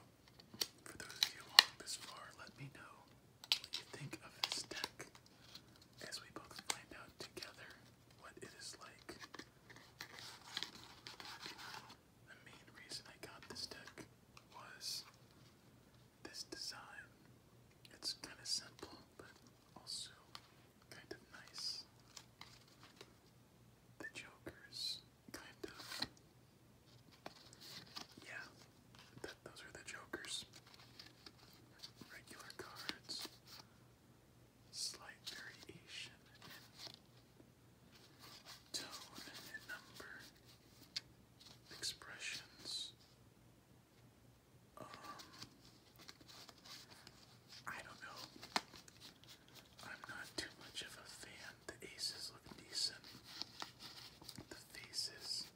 for those of you along this far, let me know what you think of this deck as we both find out together what it is like. The main reason I got this deck was this design. It's kind of simple, but also kind of nice. The Jokers, kind of. Yeah, those are the Jokers. Regular cards slight variation in tone and number expressions. Um, I don't know. I'm not too much of a fan. The aces look decent. The faces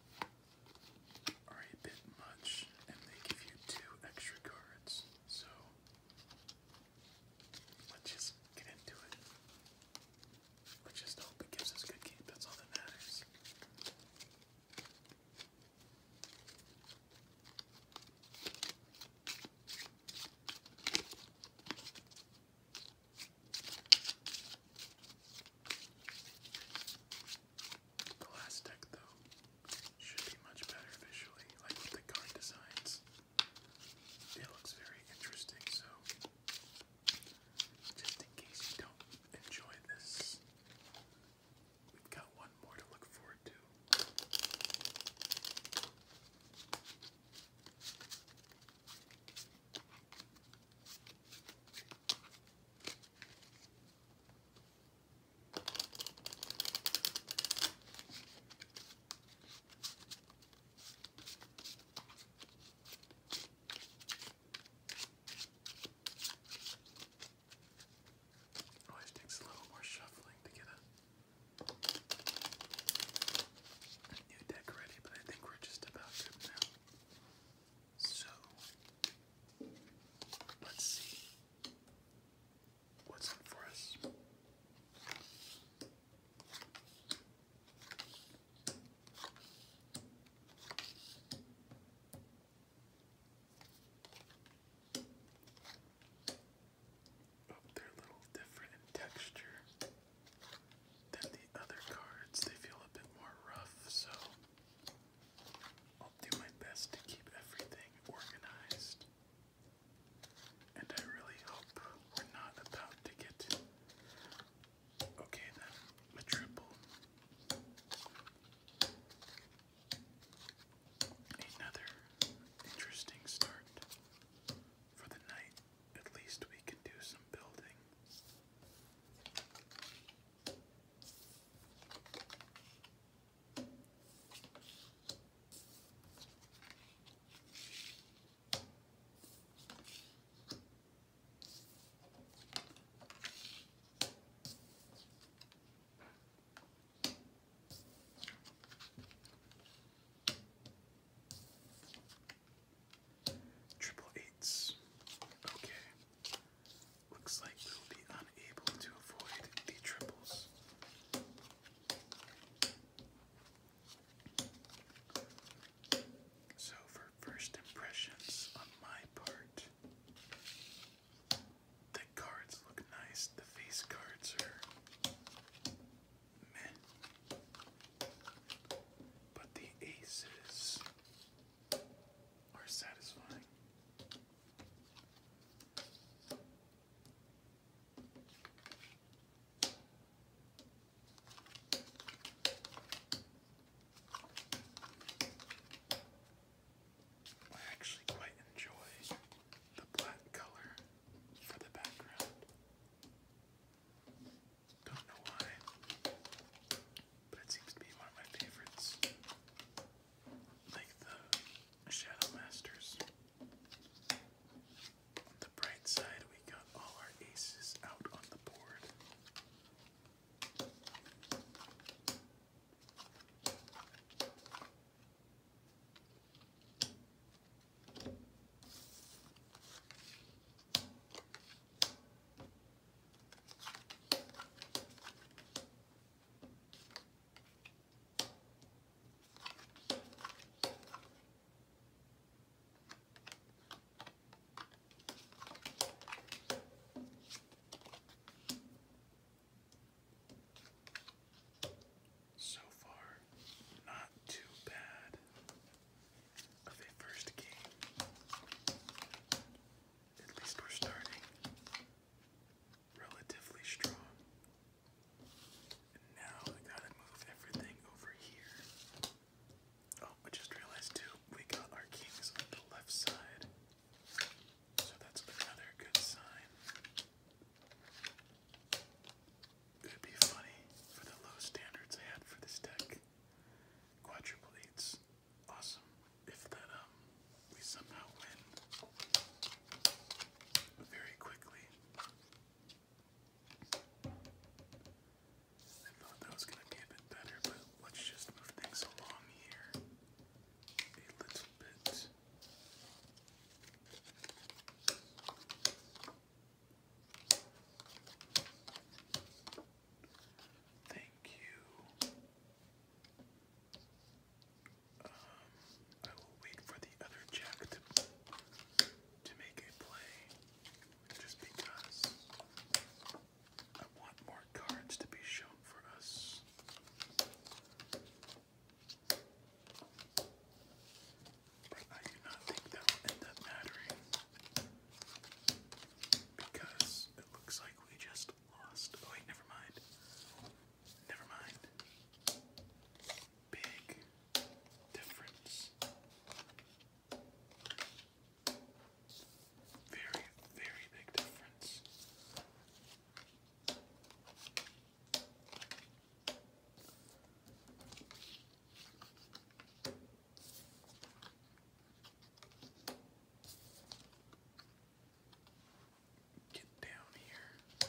are a bit much, and they give you two extra cards. So Let's just get into it. Let's just hope it gives us good game. That's all that matters. The last deck, though, should be much better visually, like the card designs. It looks very interesting, so just in case you don't enjoy this, we've got one more to look forward to. Always oh, takes a little more shuffling to get a new deck ready, but I think we're just about good now. So, let's see what's in for us. Oh, they're a little different in texture than the other cards. They feel a bit more rough, so I'll do my best to keep everything organized. And I really hope we're not about to get. Okay, then, a triple. Another interesting start for the night. At least we can do some building. Triple eights. Okay. Looks like we will be unable to avoid the triples. So, for first impressions on my part, the cards look nice, the face cards are meh. But the aces are satisfying. I actually quite enjoy the black color for the background. Don't know why, but it seems to be one of my favorites. Like the Shadow Masters. The bright side, we got all our aces out on the board. So far, not too bad of a first game. At least we're starting relatively strong now I gotta move everything over here. Oh, I just realized too, we got our kings on the left side. So that's another good sign. It would be funny for the low standards I had for this deck. Quadruple eights. Awesome. If that um we somehow win very quickly. I thought that was going to be a bit better, but let's just move things along here a little bit. Thank you. Um, I will wait for the other jack to make a play just because I want more cards to be shown for us. But I do not think that will end up mattering because it looks like we just lost. Oh, wait, never mind. Never mind big difference. Very, very big difference. Get down here.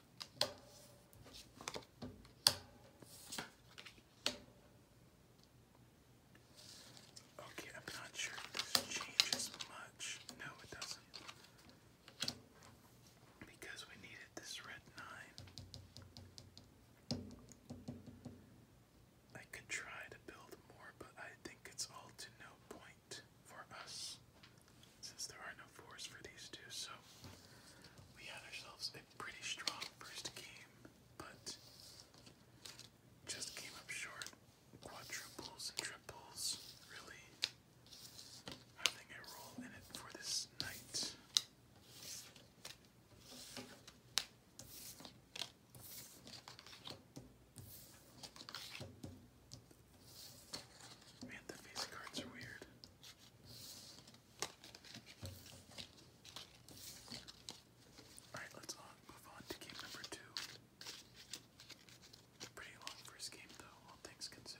Okay, I'm not sure this changes much. No, it doesn't. Because we needed this red 9. I could try to build more, but I think it's all to no point for us. Since there are no fours for these two, so we had ourselves a pretty strong first game, but just came up short. Quadruples and triples, really having a role in it for this night. Man, the face cards are weird. Alright, let's uh, move on to game number two. Pretty long first game, though, all things considered.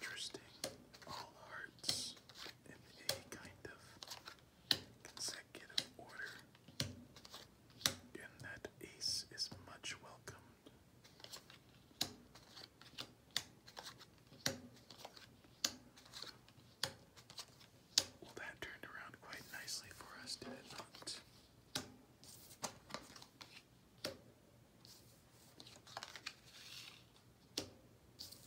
Interesting. All hearts in a kind of consecutive order, and that ace is much welcomed. Well, that turned around quite nicely for us, did it not?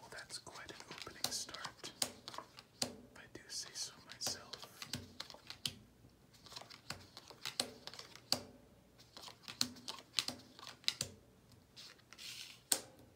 Well, that's quite an opening start, if I do say so myself.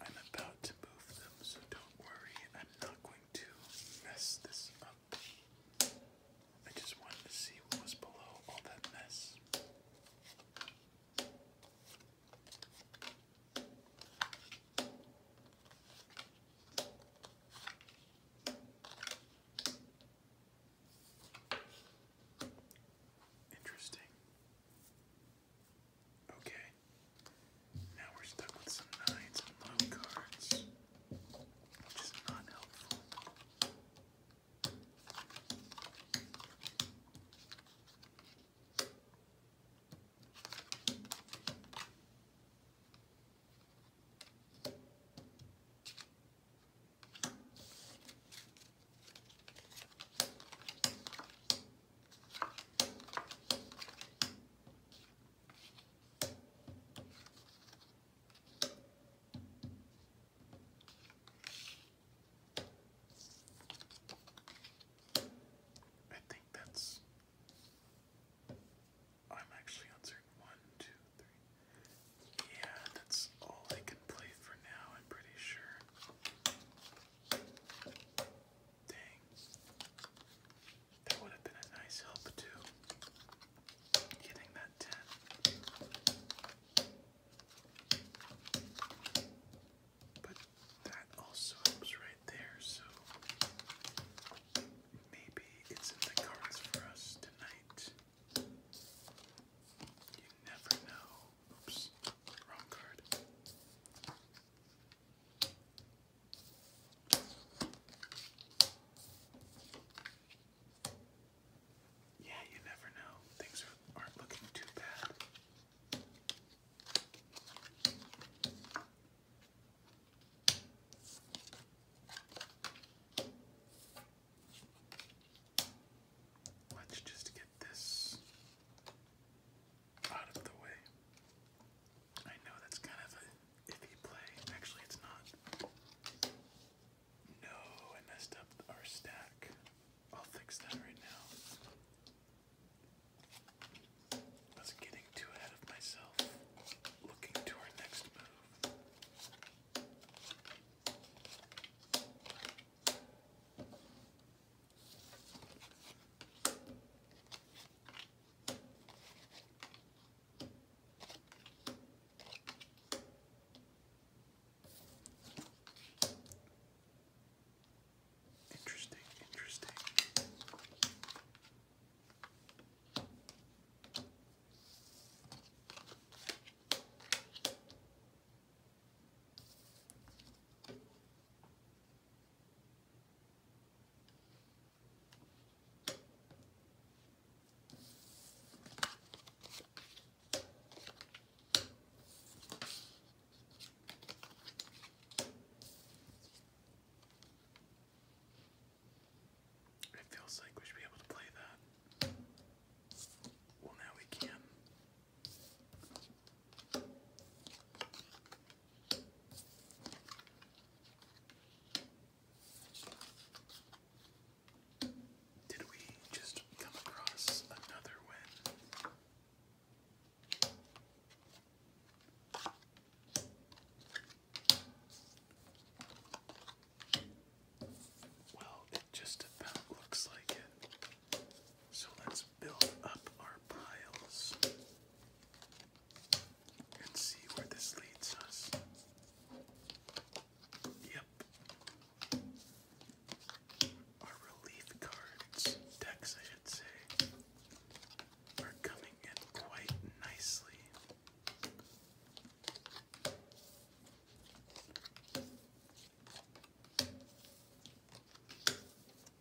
I'm about to move them, so don't worry, I'm not going to mess this up. I just wanted to see what was below all that mess. Interesting. Okay. Now we're stuck with some nines and low cards, which is not helpful. I think that's. I'm actually on certain one, two, three. Yeah, that's all I can play for now, I'm pretty sure. Dang. That would have been a nice help too. Getting that 10. But that also helps right there, so maybe it's in the cards for us tonight. You never know. Oops, Yeah, you never know. Things aren't looking too bad. Let's just get this out of the way. I know that's kind of a iffy play. Actually, it's not. No, I messed up our stack. I'll fix that right now. I was getting too ahead of myself. Looking to our next move. Interesting, interesting. It feels like we should be able to play that. Well, now we can. Did we just come across another win? Well, it just about looks like it. So let's build up our piles and see where this leads us. Yep. Our relief cards, decks I should say, are coming in quite nicely.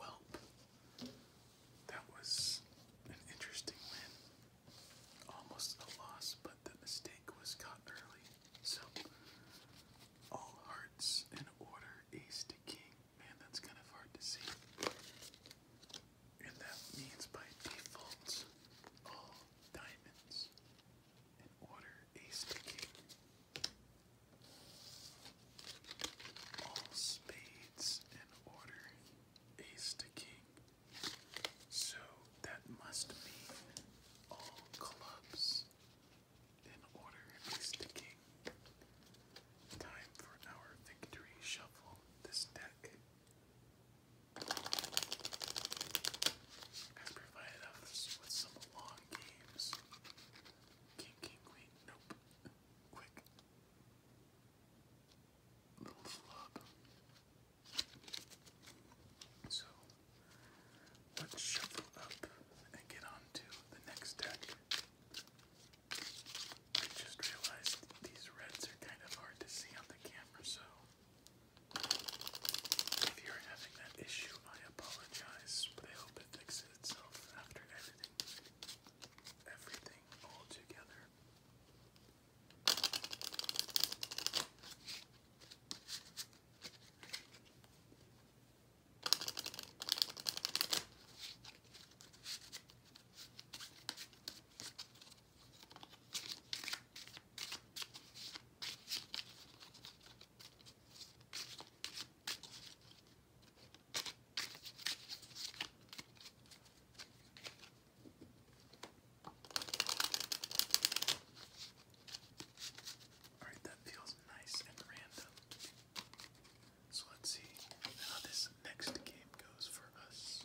Well, that was an interesting win. Almost a loss, but the mistake was caught early. So, all hearts in order, ace to king. Man, that's kind of hard to see. And that means by default, all diamonds and order ace to king. All spades and order ace to king. So that must mean all clubs in order is the king. Time for our victory shuffle this deck. Has provided us with some long games. King, king, queen, nope. Quick. Little flub. So, let's shuffle up and get on to the next deck. I just realized these reds are kind of hard to see on the camera, so if you're having that issue, I apologize, but I hope it fixes itself after editing Everything all together. All right, that feels nice and random. So let's see how this next game goes for us.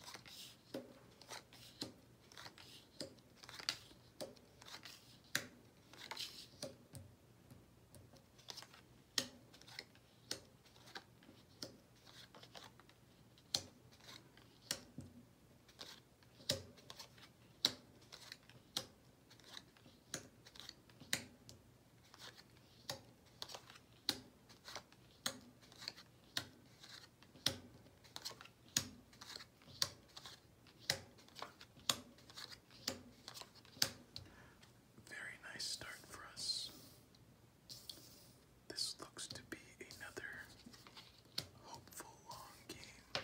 Very nice start for us. This looks to be another hopeful long game.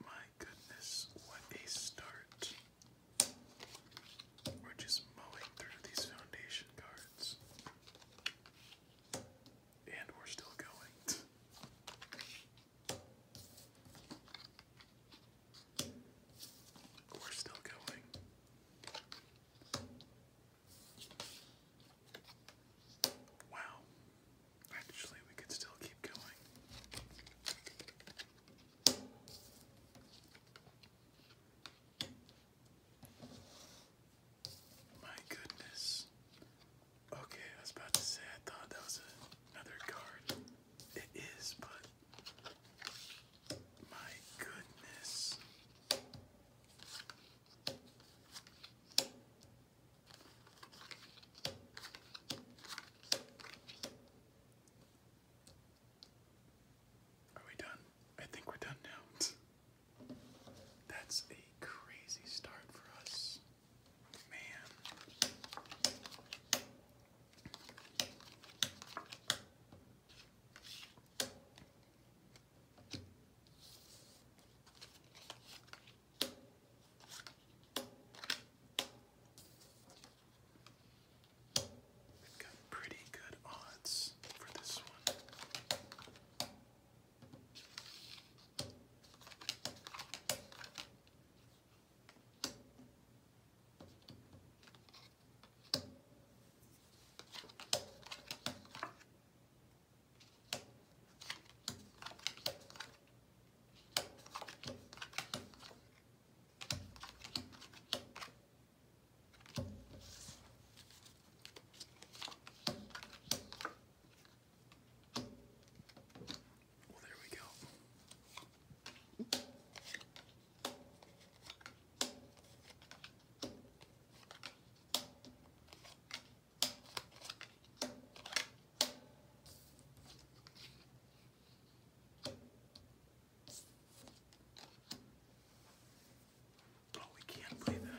My goodness, what a start. We're just mowing through these foundation cards. And we're still going. We're still going. Wow. Actually, we could still keep going. My goodness. Okay, I was about to say I thought that was a, another card. It is, but my goodness. Are we done? I think we're done now. That's a crazy start for us. Man. We've got pretty good odds for this one. Well, there we go. Oh, we can't play that.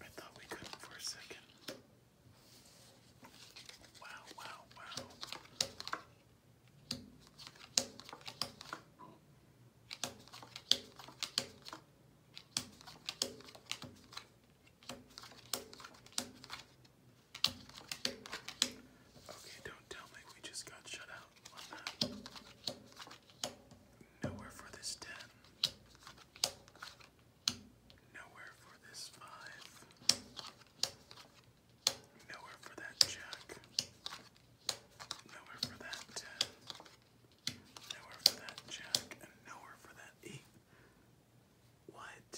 I thought we could for a second. Wow, wow, wow. Okay, don't tell me we just got shut out Nowhere for this 10. Nowhere for this 5. Nowhere for that jack. Nowhere for that 10. Uh, nowhere for that jack. And nowhere for that 8. What?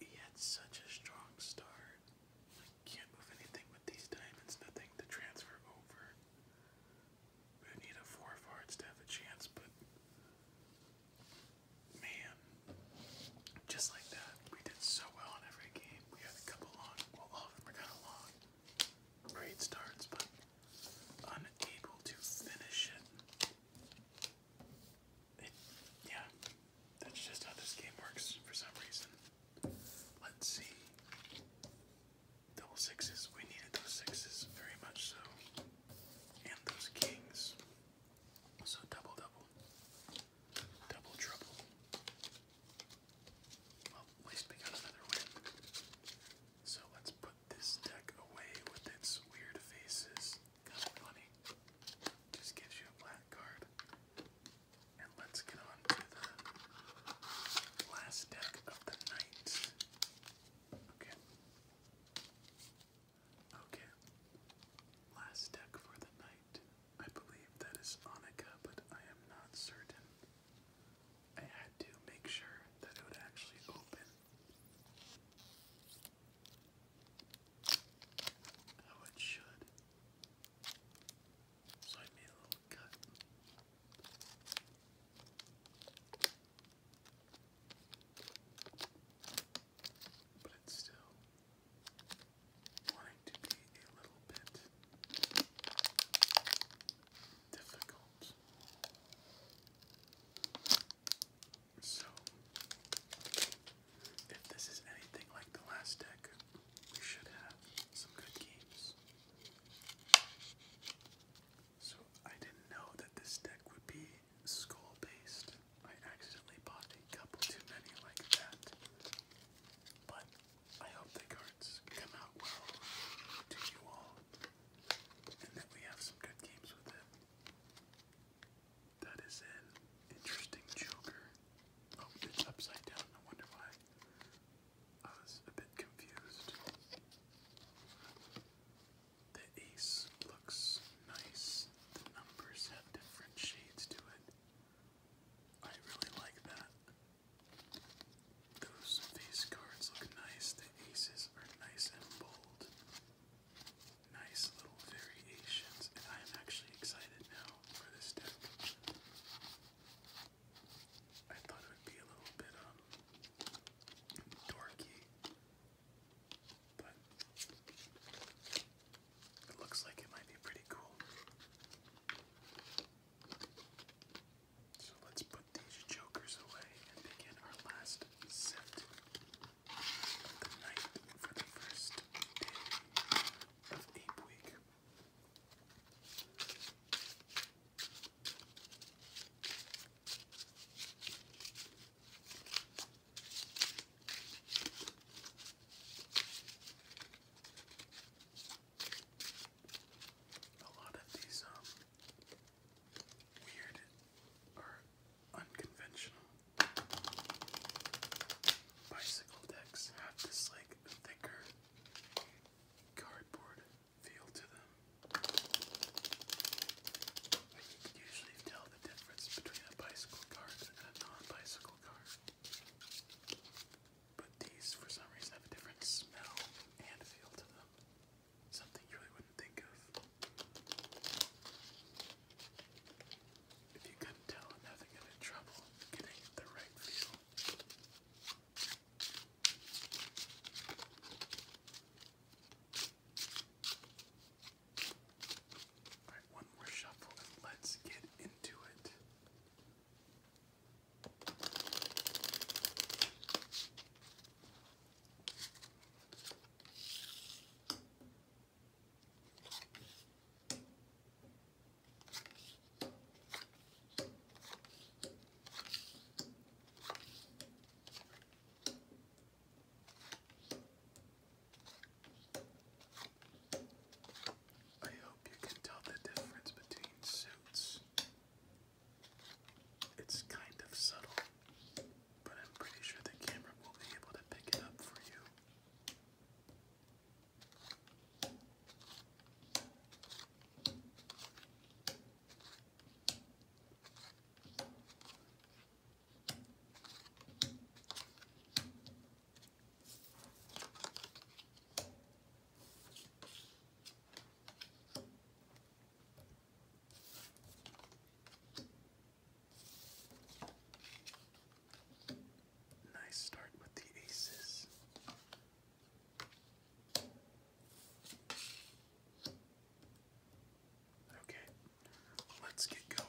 He had such a strong start. can't move anything with these diamonds. Nothing to transfer over. We need a 4 of hearts to have a chance, but. Man, just like that, we did so well in every game. We had a couple long, well, all of them were kind of long great starts, but unable to finish it. it. Yeah, that's just how this game works for some reason. Let's see. Double sixes. We needed those sixes very much so. And those kings. So double double. Double trouble. So let's put this deck away with its weird faces. Just gives you a black card. And let's get on to the last deck of the night. Okay. Okay. Last deck for the night. I believe that is Anika, but I am not certain. I had to make sure that it would actually open. How it should. So I made a little cut. But it's still wanting to be a little bit difficult. So, if this is anything like the last deck, we should have some good games. So, I didn't know that this deck would be skull based. I accidentally bought a couple too many like that. But I hope the cards come out well to you all and that we have some good games with it. That is an interesting joker. Oh, it's upside down. I wonder why. I was a bit confused. The ace looks nice. The numbers have different shades to it. I really like that. Those face cards look nice. The aces are nice and bold. Nice little variations, I am actually excited now for this deck. I thought it would be a little bit um dorky, but it looks like it might be pretty cool. So let's put these jokers away and begin our last set of the night for the first day of Ape Week a lot of these um weird or unconventional bicycle decks have this like thicker cardboard feel to them. you can usually tell the difference between a bicycle card and a non-bicycle card. But these, for some reason, have a different smell and feel to them. Something you really wouldn't think of. If you couldn't tell, I'm having a bit trouble getting the right feel. Alright, one more shuffle and let's get into it. I hope you can tell the difference between suits. It's kind of subtle, but I'm pretty sure the camera will be able to pick it up for you. Nice start with the aces. Okay, let's get going.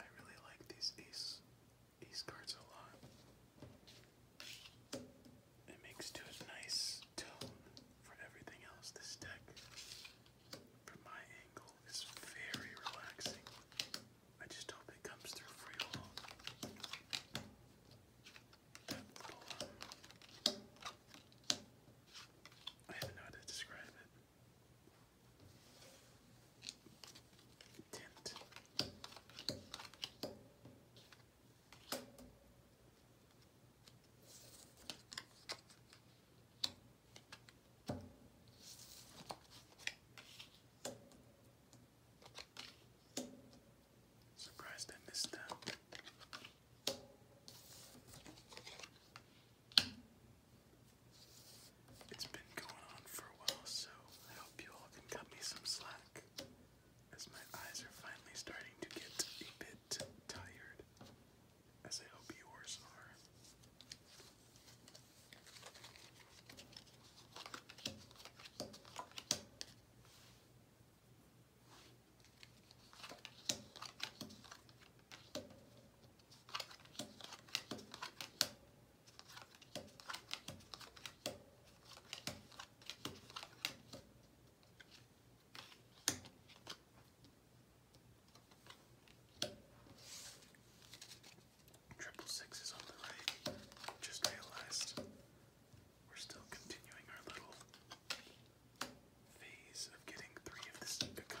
I really like these ace ace cards a lot. It makes to a nice tone for everything else this deck from my angle is very relaxing. I just hope it comes through for um, I don't know how to describe it. Tint. Surprised I missed that. It's been going on for a while, so I hope you all can cut me some slack as my eyes are finally starting to get a bit tired as I hope yours are. Triple six is on the right. Just realized we're still continuing our little phase of getting three of this of kind.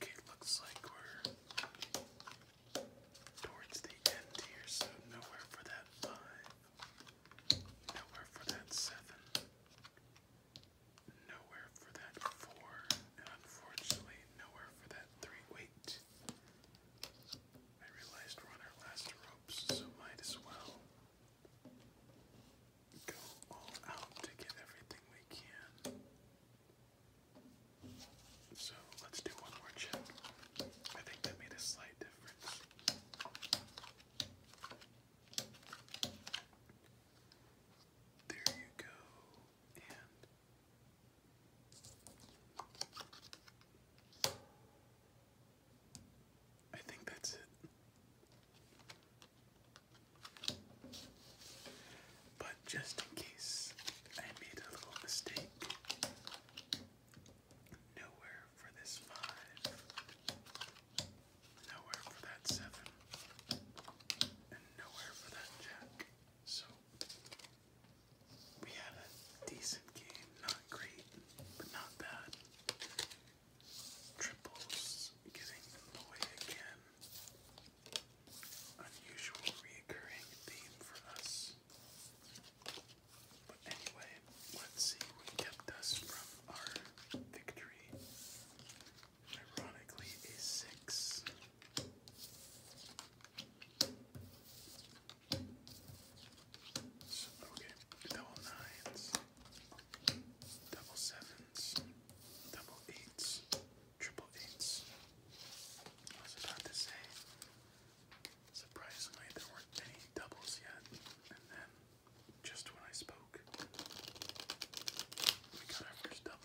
Okay, looks like we're towards the end here, so nowhere for that five, nowhere for that seven, nowhere for that four, unfortunately, nowhere for that three. Wait, I realized we're on our last ropes, so might as well go all out to get everything we can. So let's do one more check. I think that made a slight difference. There you go. And I think that's it. But just in case I made a little mistake, nowhere for this five, nowhere for that seven, and nowhere for that jack. So we had a decent game, great, but not bad. Triples getting in the again. Unusual reoccurring theme for us. But anyway, let's see what kept us from our victory. Ironically, a six okay, double nines, double sevens, double eights, triple eights. I was about to say, surprisingly, there weren't any doubles yet, and then just when I spoke, we got our first double.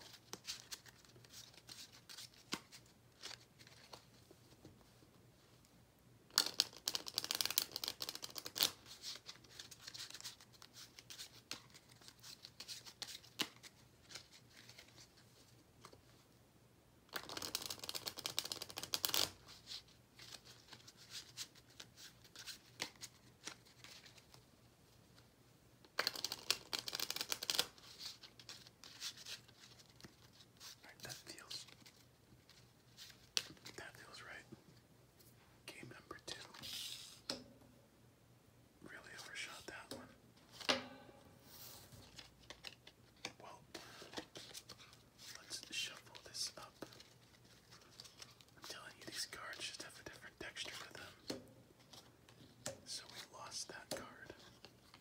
Right, that feels that feels right. Game number two. Really overshot that one. Well, let's shuffle this up. I'm telling you, these cards just have a different texture to them. So we lost that card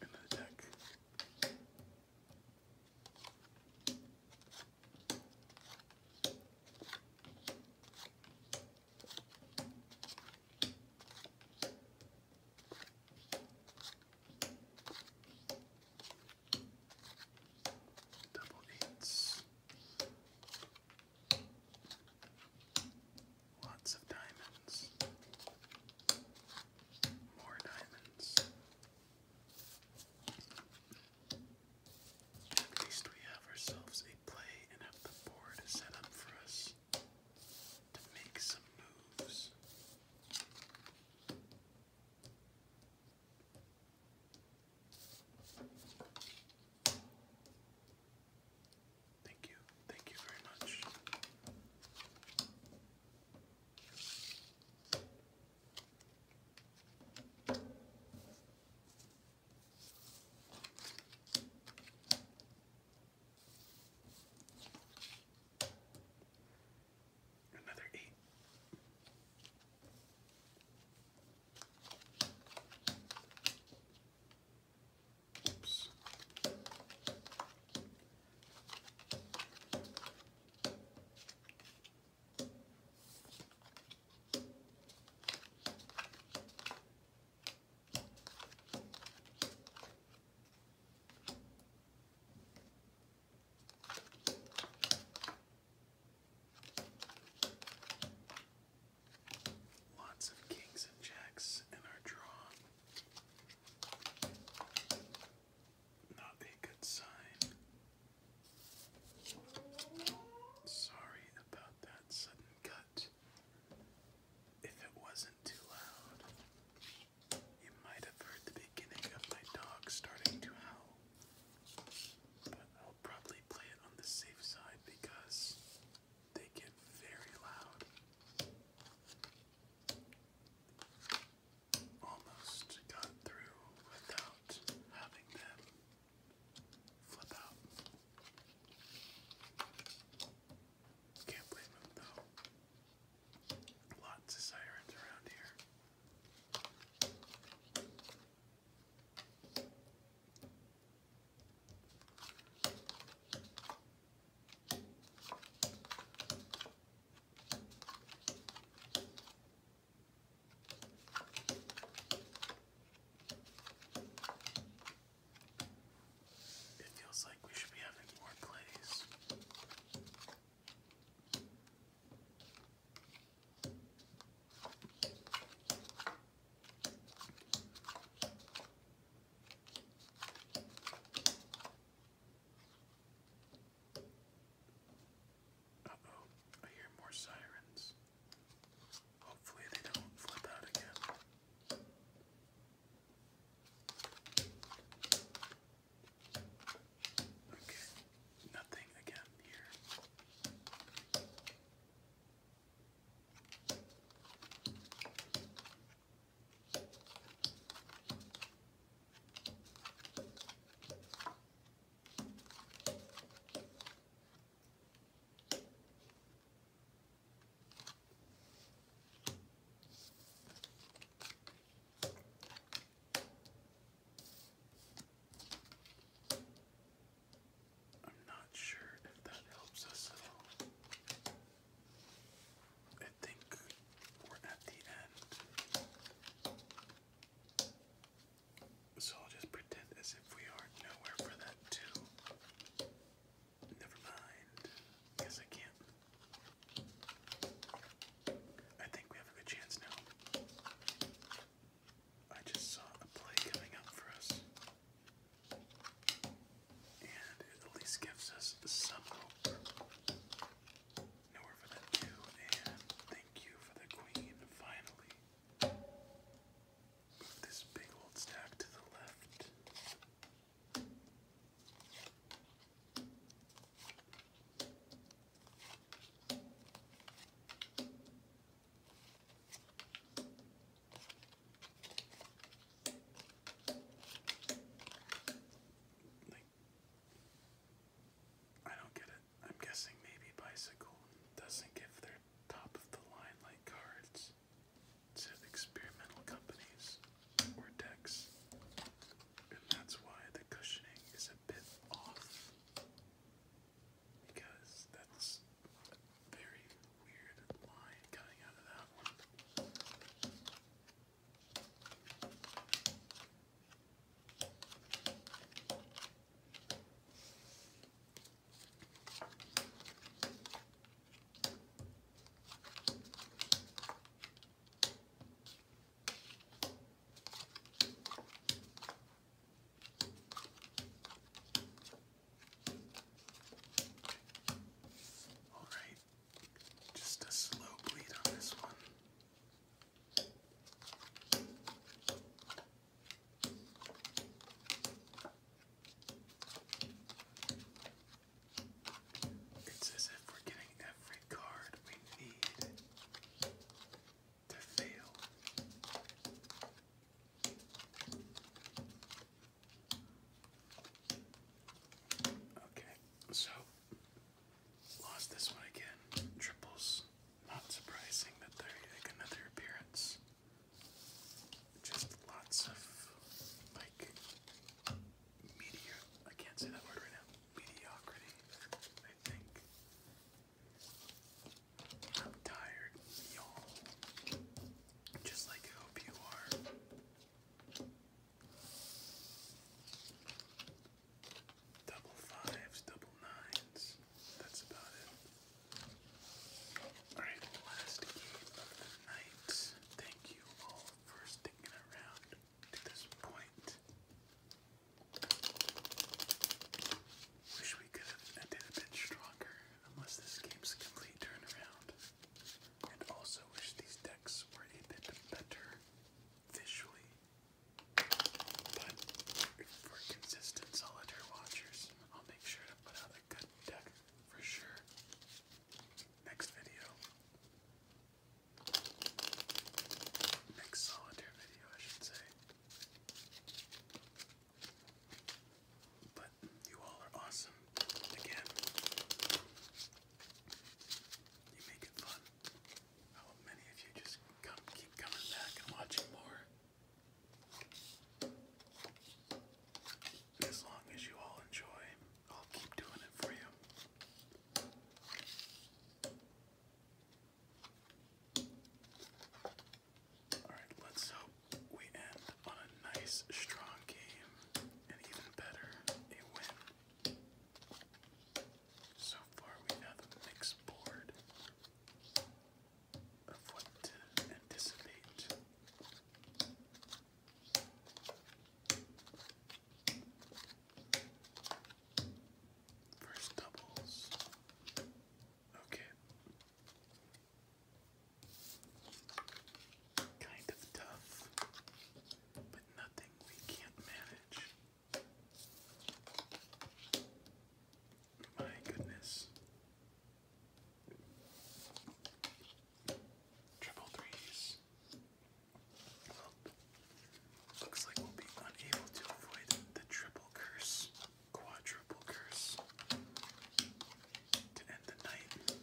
in the deck. Double eights. Lots of diamonds. More diamonds. At least we have ourselves a play and have the board set up for us to make some moves. Thank you, thank you very much. Another eight. Oops. Lots of kings and jacks in our draw. Not a good sign. Sorry about that sudden cut. If it wasn't too loud, you might have heard the beginning of my dog starting to howl. But I'll probably play it on the safe side because they get very loud almost got through without having them flip out. Can't blame them though. Lots of sirens around here. It feels like we should be having more plays. Uh oh, I hear more sirens. Hopefully, they don't flip out again. Okay, nothing again here. I'm not sure if that helps us at all. I think we're at the end. So I'll just pretend as if we are nowhere for that too. Never mind. Guess I can't. I think we have a good chance now. I just saw a play coming up for us. And it at least gives us some hope. Nowhere for that two, and thank you for the queen, finally. Move this big old stack to the left. Like, I don't get it. I'm guessing maybe Bicycle doesn't give their top of the line like cards to experimental companies or decks, and that's why the cushioning is a bit off because that's very weird line coming out of that one. All right, just a slow bleed on this one. It's as if we're getting every card we need to fail. Okay, so lost this one again. Triples. Not surprising that they make another appearance. Just lots of like meteor. I can't say that word right now. Mediocrity, I think. I'm tired, y'all. Just like I hope you are double fives, double nines. That's about it. Alright, last game of the night. Thank you all for sticking around to this point. Wish we could have ended a bit stronger, unless this game's complete turnaround. And also wish these decks were a bit better visually but for consistent solitaire watchers, I'll make sure to put out a good deck for sure. Next video. Next solitaire video, I should say. But you all are awesome. Again, you make it fun. How many of you just come, keep coming back and watching more? As long as you all enjoy, I'll keep doing it for you. Alright, let's hope we end on a nice, strong game, and even better, a win. So far, we have a mixed board of what to anticipate. First doubles. Okay. Kind of tough, but nothing we can't manage. My goodness. Triple threes. looks like we'll be unable to avoid the triple curse, quadruple curse to end the night.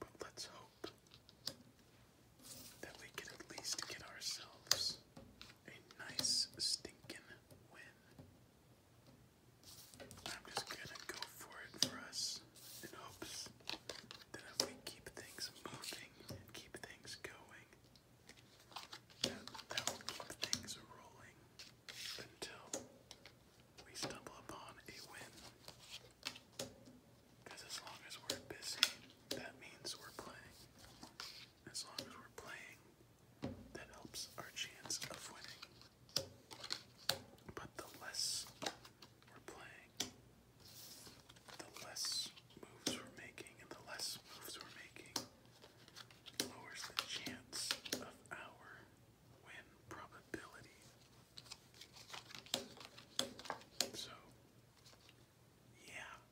But let's hope that we can at least get ourselves a nice stinking I'm just gonna go for it for us in hopes that if we keep things moving and keep things going, that, that will keep things rolling until we stumble upon a win. Because as long as we're busy, that means we're playing. As long as we're playing, that helps our chance of winning. But the less we're playing, the less moves we're making, and the less moves we're making lowers the chance of our win probability. So, yeah, and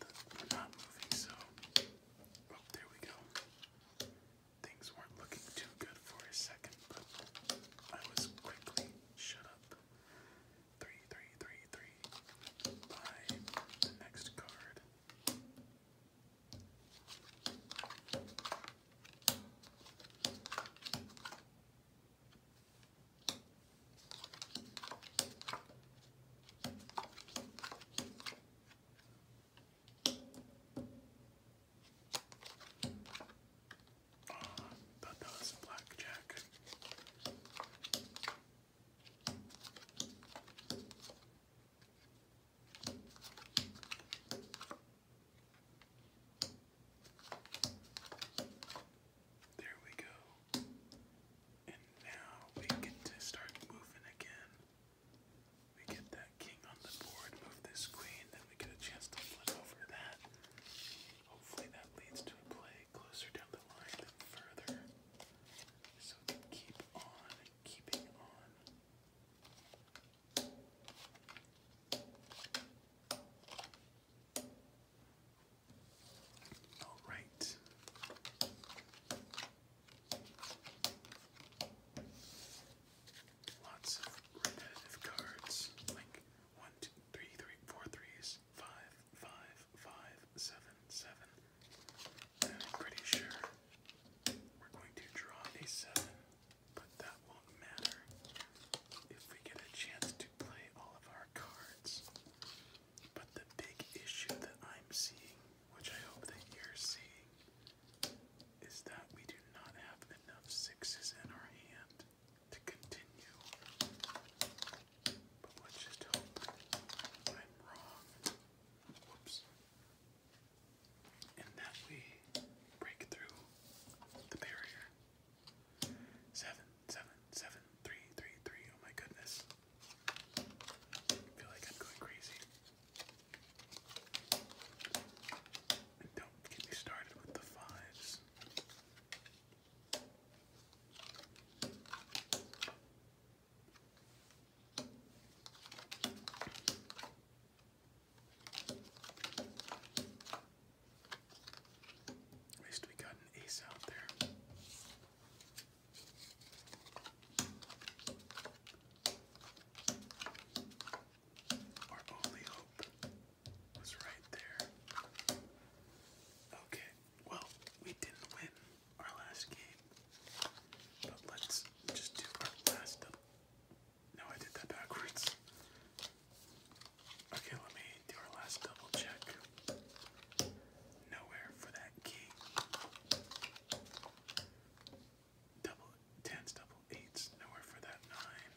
the, we're not moving, so oh, there we go. Things weren't looking too good for a second, but I was quickly shut up. Three, three, three, three. Buy the next card. Uh, thought that was blackjack. There we go. And now we get to start moving again. We get that king on the board, move this queen, then we get a chance to flip over that. Hopefully that leads to a play closer down the line than further. So keep on keeping on. All right. Lots of repetitive cards like one, two, three, three, four, threes, five, five, five, seven, seven. And I'm pretty sure we're going to draw a seven, but that won't matter if we get a chance to play all of our cards. But the big issue that I'm seeing, which I hope that you're seeing, is that we do not have enough sixes in our hand to continue. But let's just hope I'm wrong. Whoops. And that we break through the barrier. Seven, seven, seven, three, three, three. Oh my goodness. feel like I'm going crazy. And don't get me started with the fives. At least we got an ace out there. Our only hope was right there. Okay, well, we didn't win our last game, but let's just do our last. No, I did that backwards. Okay, let me do our last double check. Nowhere for that key. Double tens, double eights, nowhere for that nine.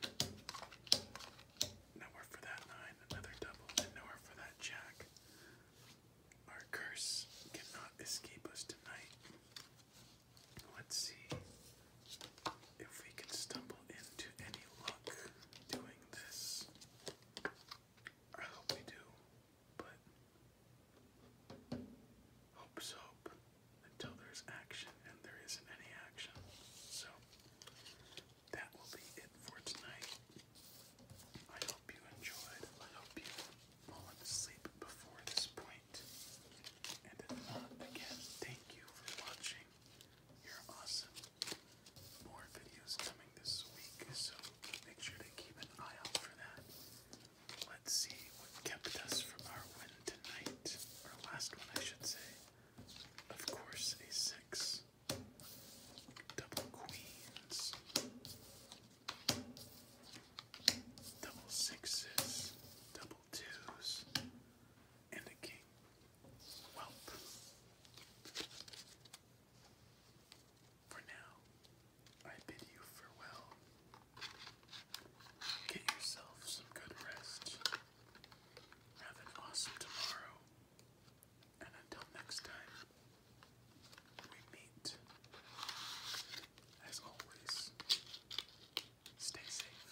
Nowhere for that nine, another double, nowhere for that jack. Our curse cannot escape us tonight. Let's see if we can stumble into any luck doing this. I hope we do, but hope's hope until there's action, and there isn't any action. So that will be it for tonight. I hope you enjoyed. I hope you fallen asleep before this point. And again, thank you for watching. You're awesome more videos coming this week, so make sure to keep an eye out for that. Let's see what kept us from our win tonight, or last one, I should say. Of course, a six. Double queens. Double sixes. Double twos. And a king. Well, for now, I bid you farewell. Get yourself some good rest. Have an awesome tomorrow. And until next time, we meet. As always, stay safe.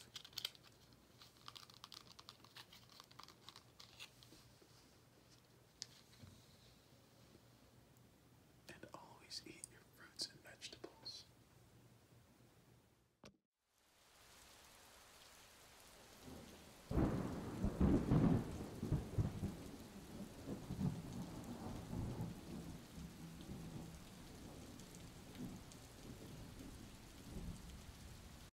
And always eat your fruits and vegetables.